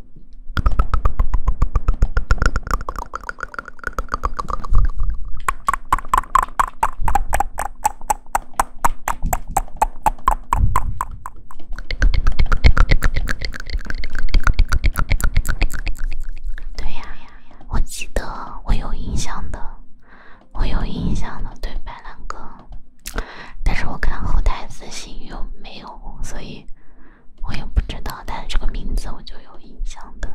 [SPEAKER 1] 对呀，我记得，我有印象的，我有印象的，对白兰哥，但是我看后台私信又没有，所以。我也不知道，但是这个名字我就有印象的。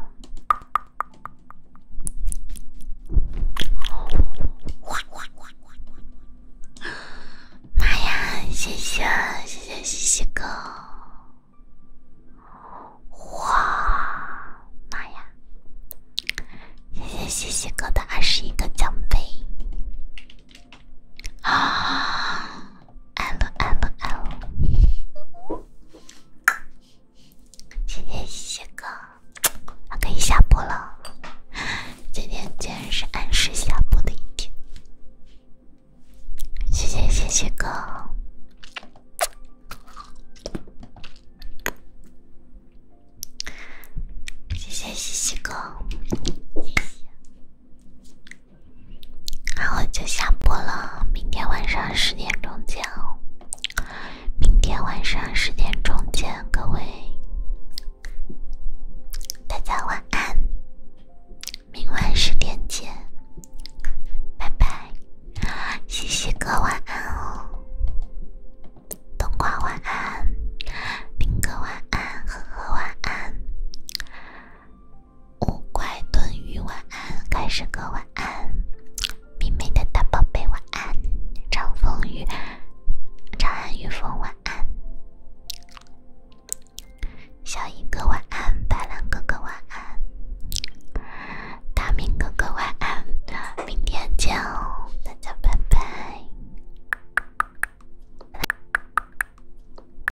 [SPEAKER 1] 哇哇哇哇哇！妈呀，谢谢谢谢西西哥！哇，妈呀，谢谢西西哥的二十一个奖杯。啊！安了安了安了！谢谢西西哥，可以下播了。今天竟然是按时下播的一天。谢谢西西哥，谢谢西西哥。然后就下播了，明天晚上十点钟见哦。明天晚上十点钟见，各位，大家晚安，明晚十点见，拜拜，西西哥晚安哦，冬瓜晚安，冰哥晚安，呵呵晚安。五块炖鱼，晚安！开始哥，晚安！明媚的大宝贝，晚安！长风雨，长安雨风，晚安！小一哥，晚安！白兰哥哥，晚安！大明哥哥，晚安！明天见，大家拜拜。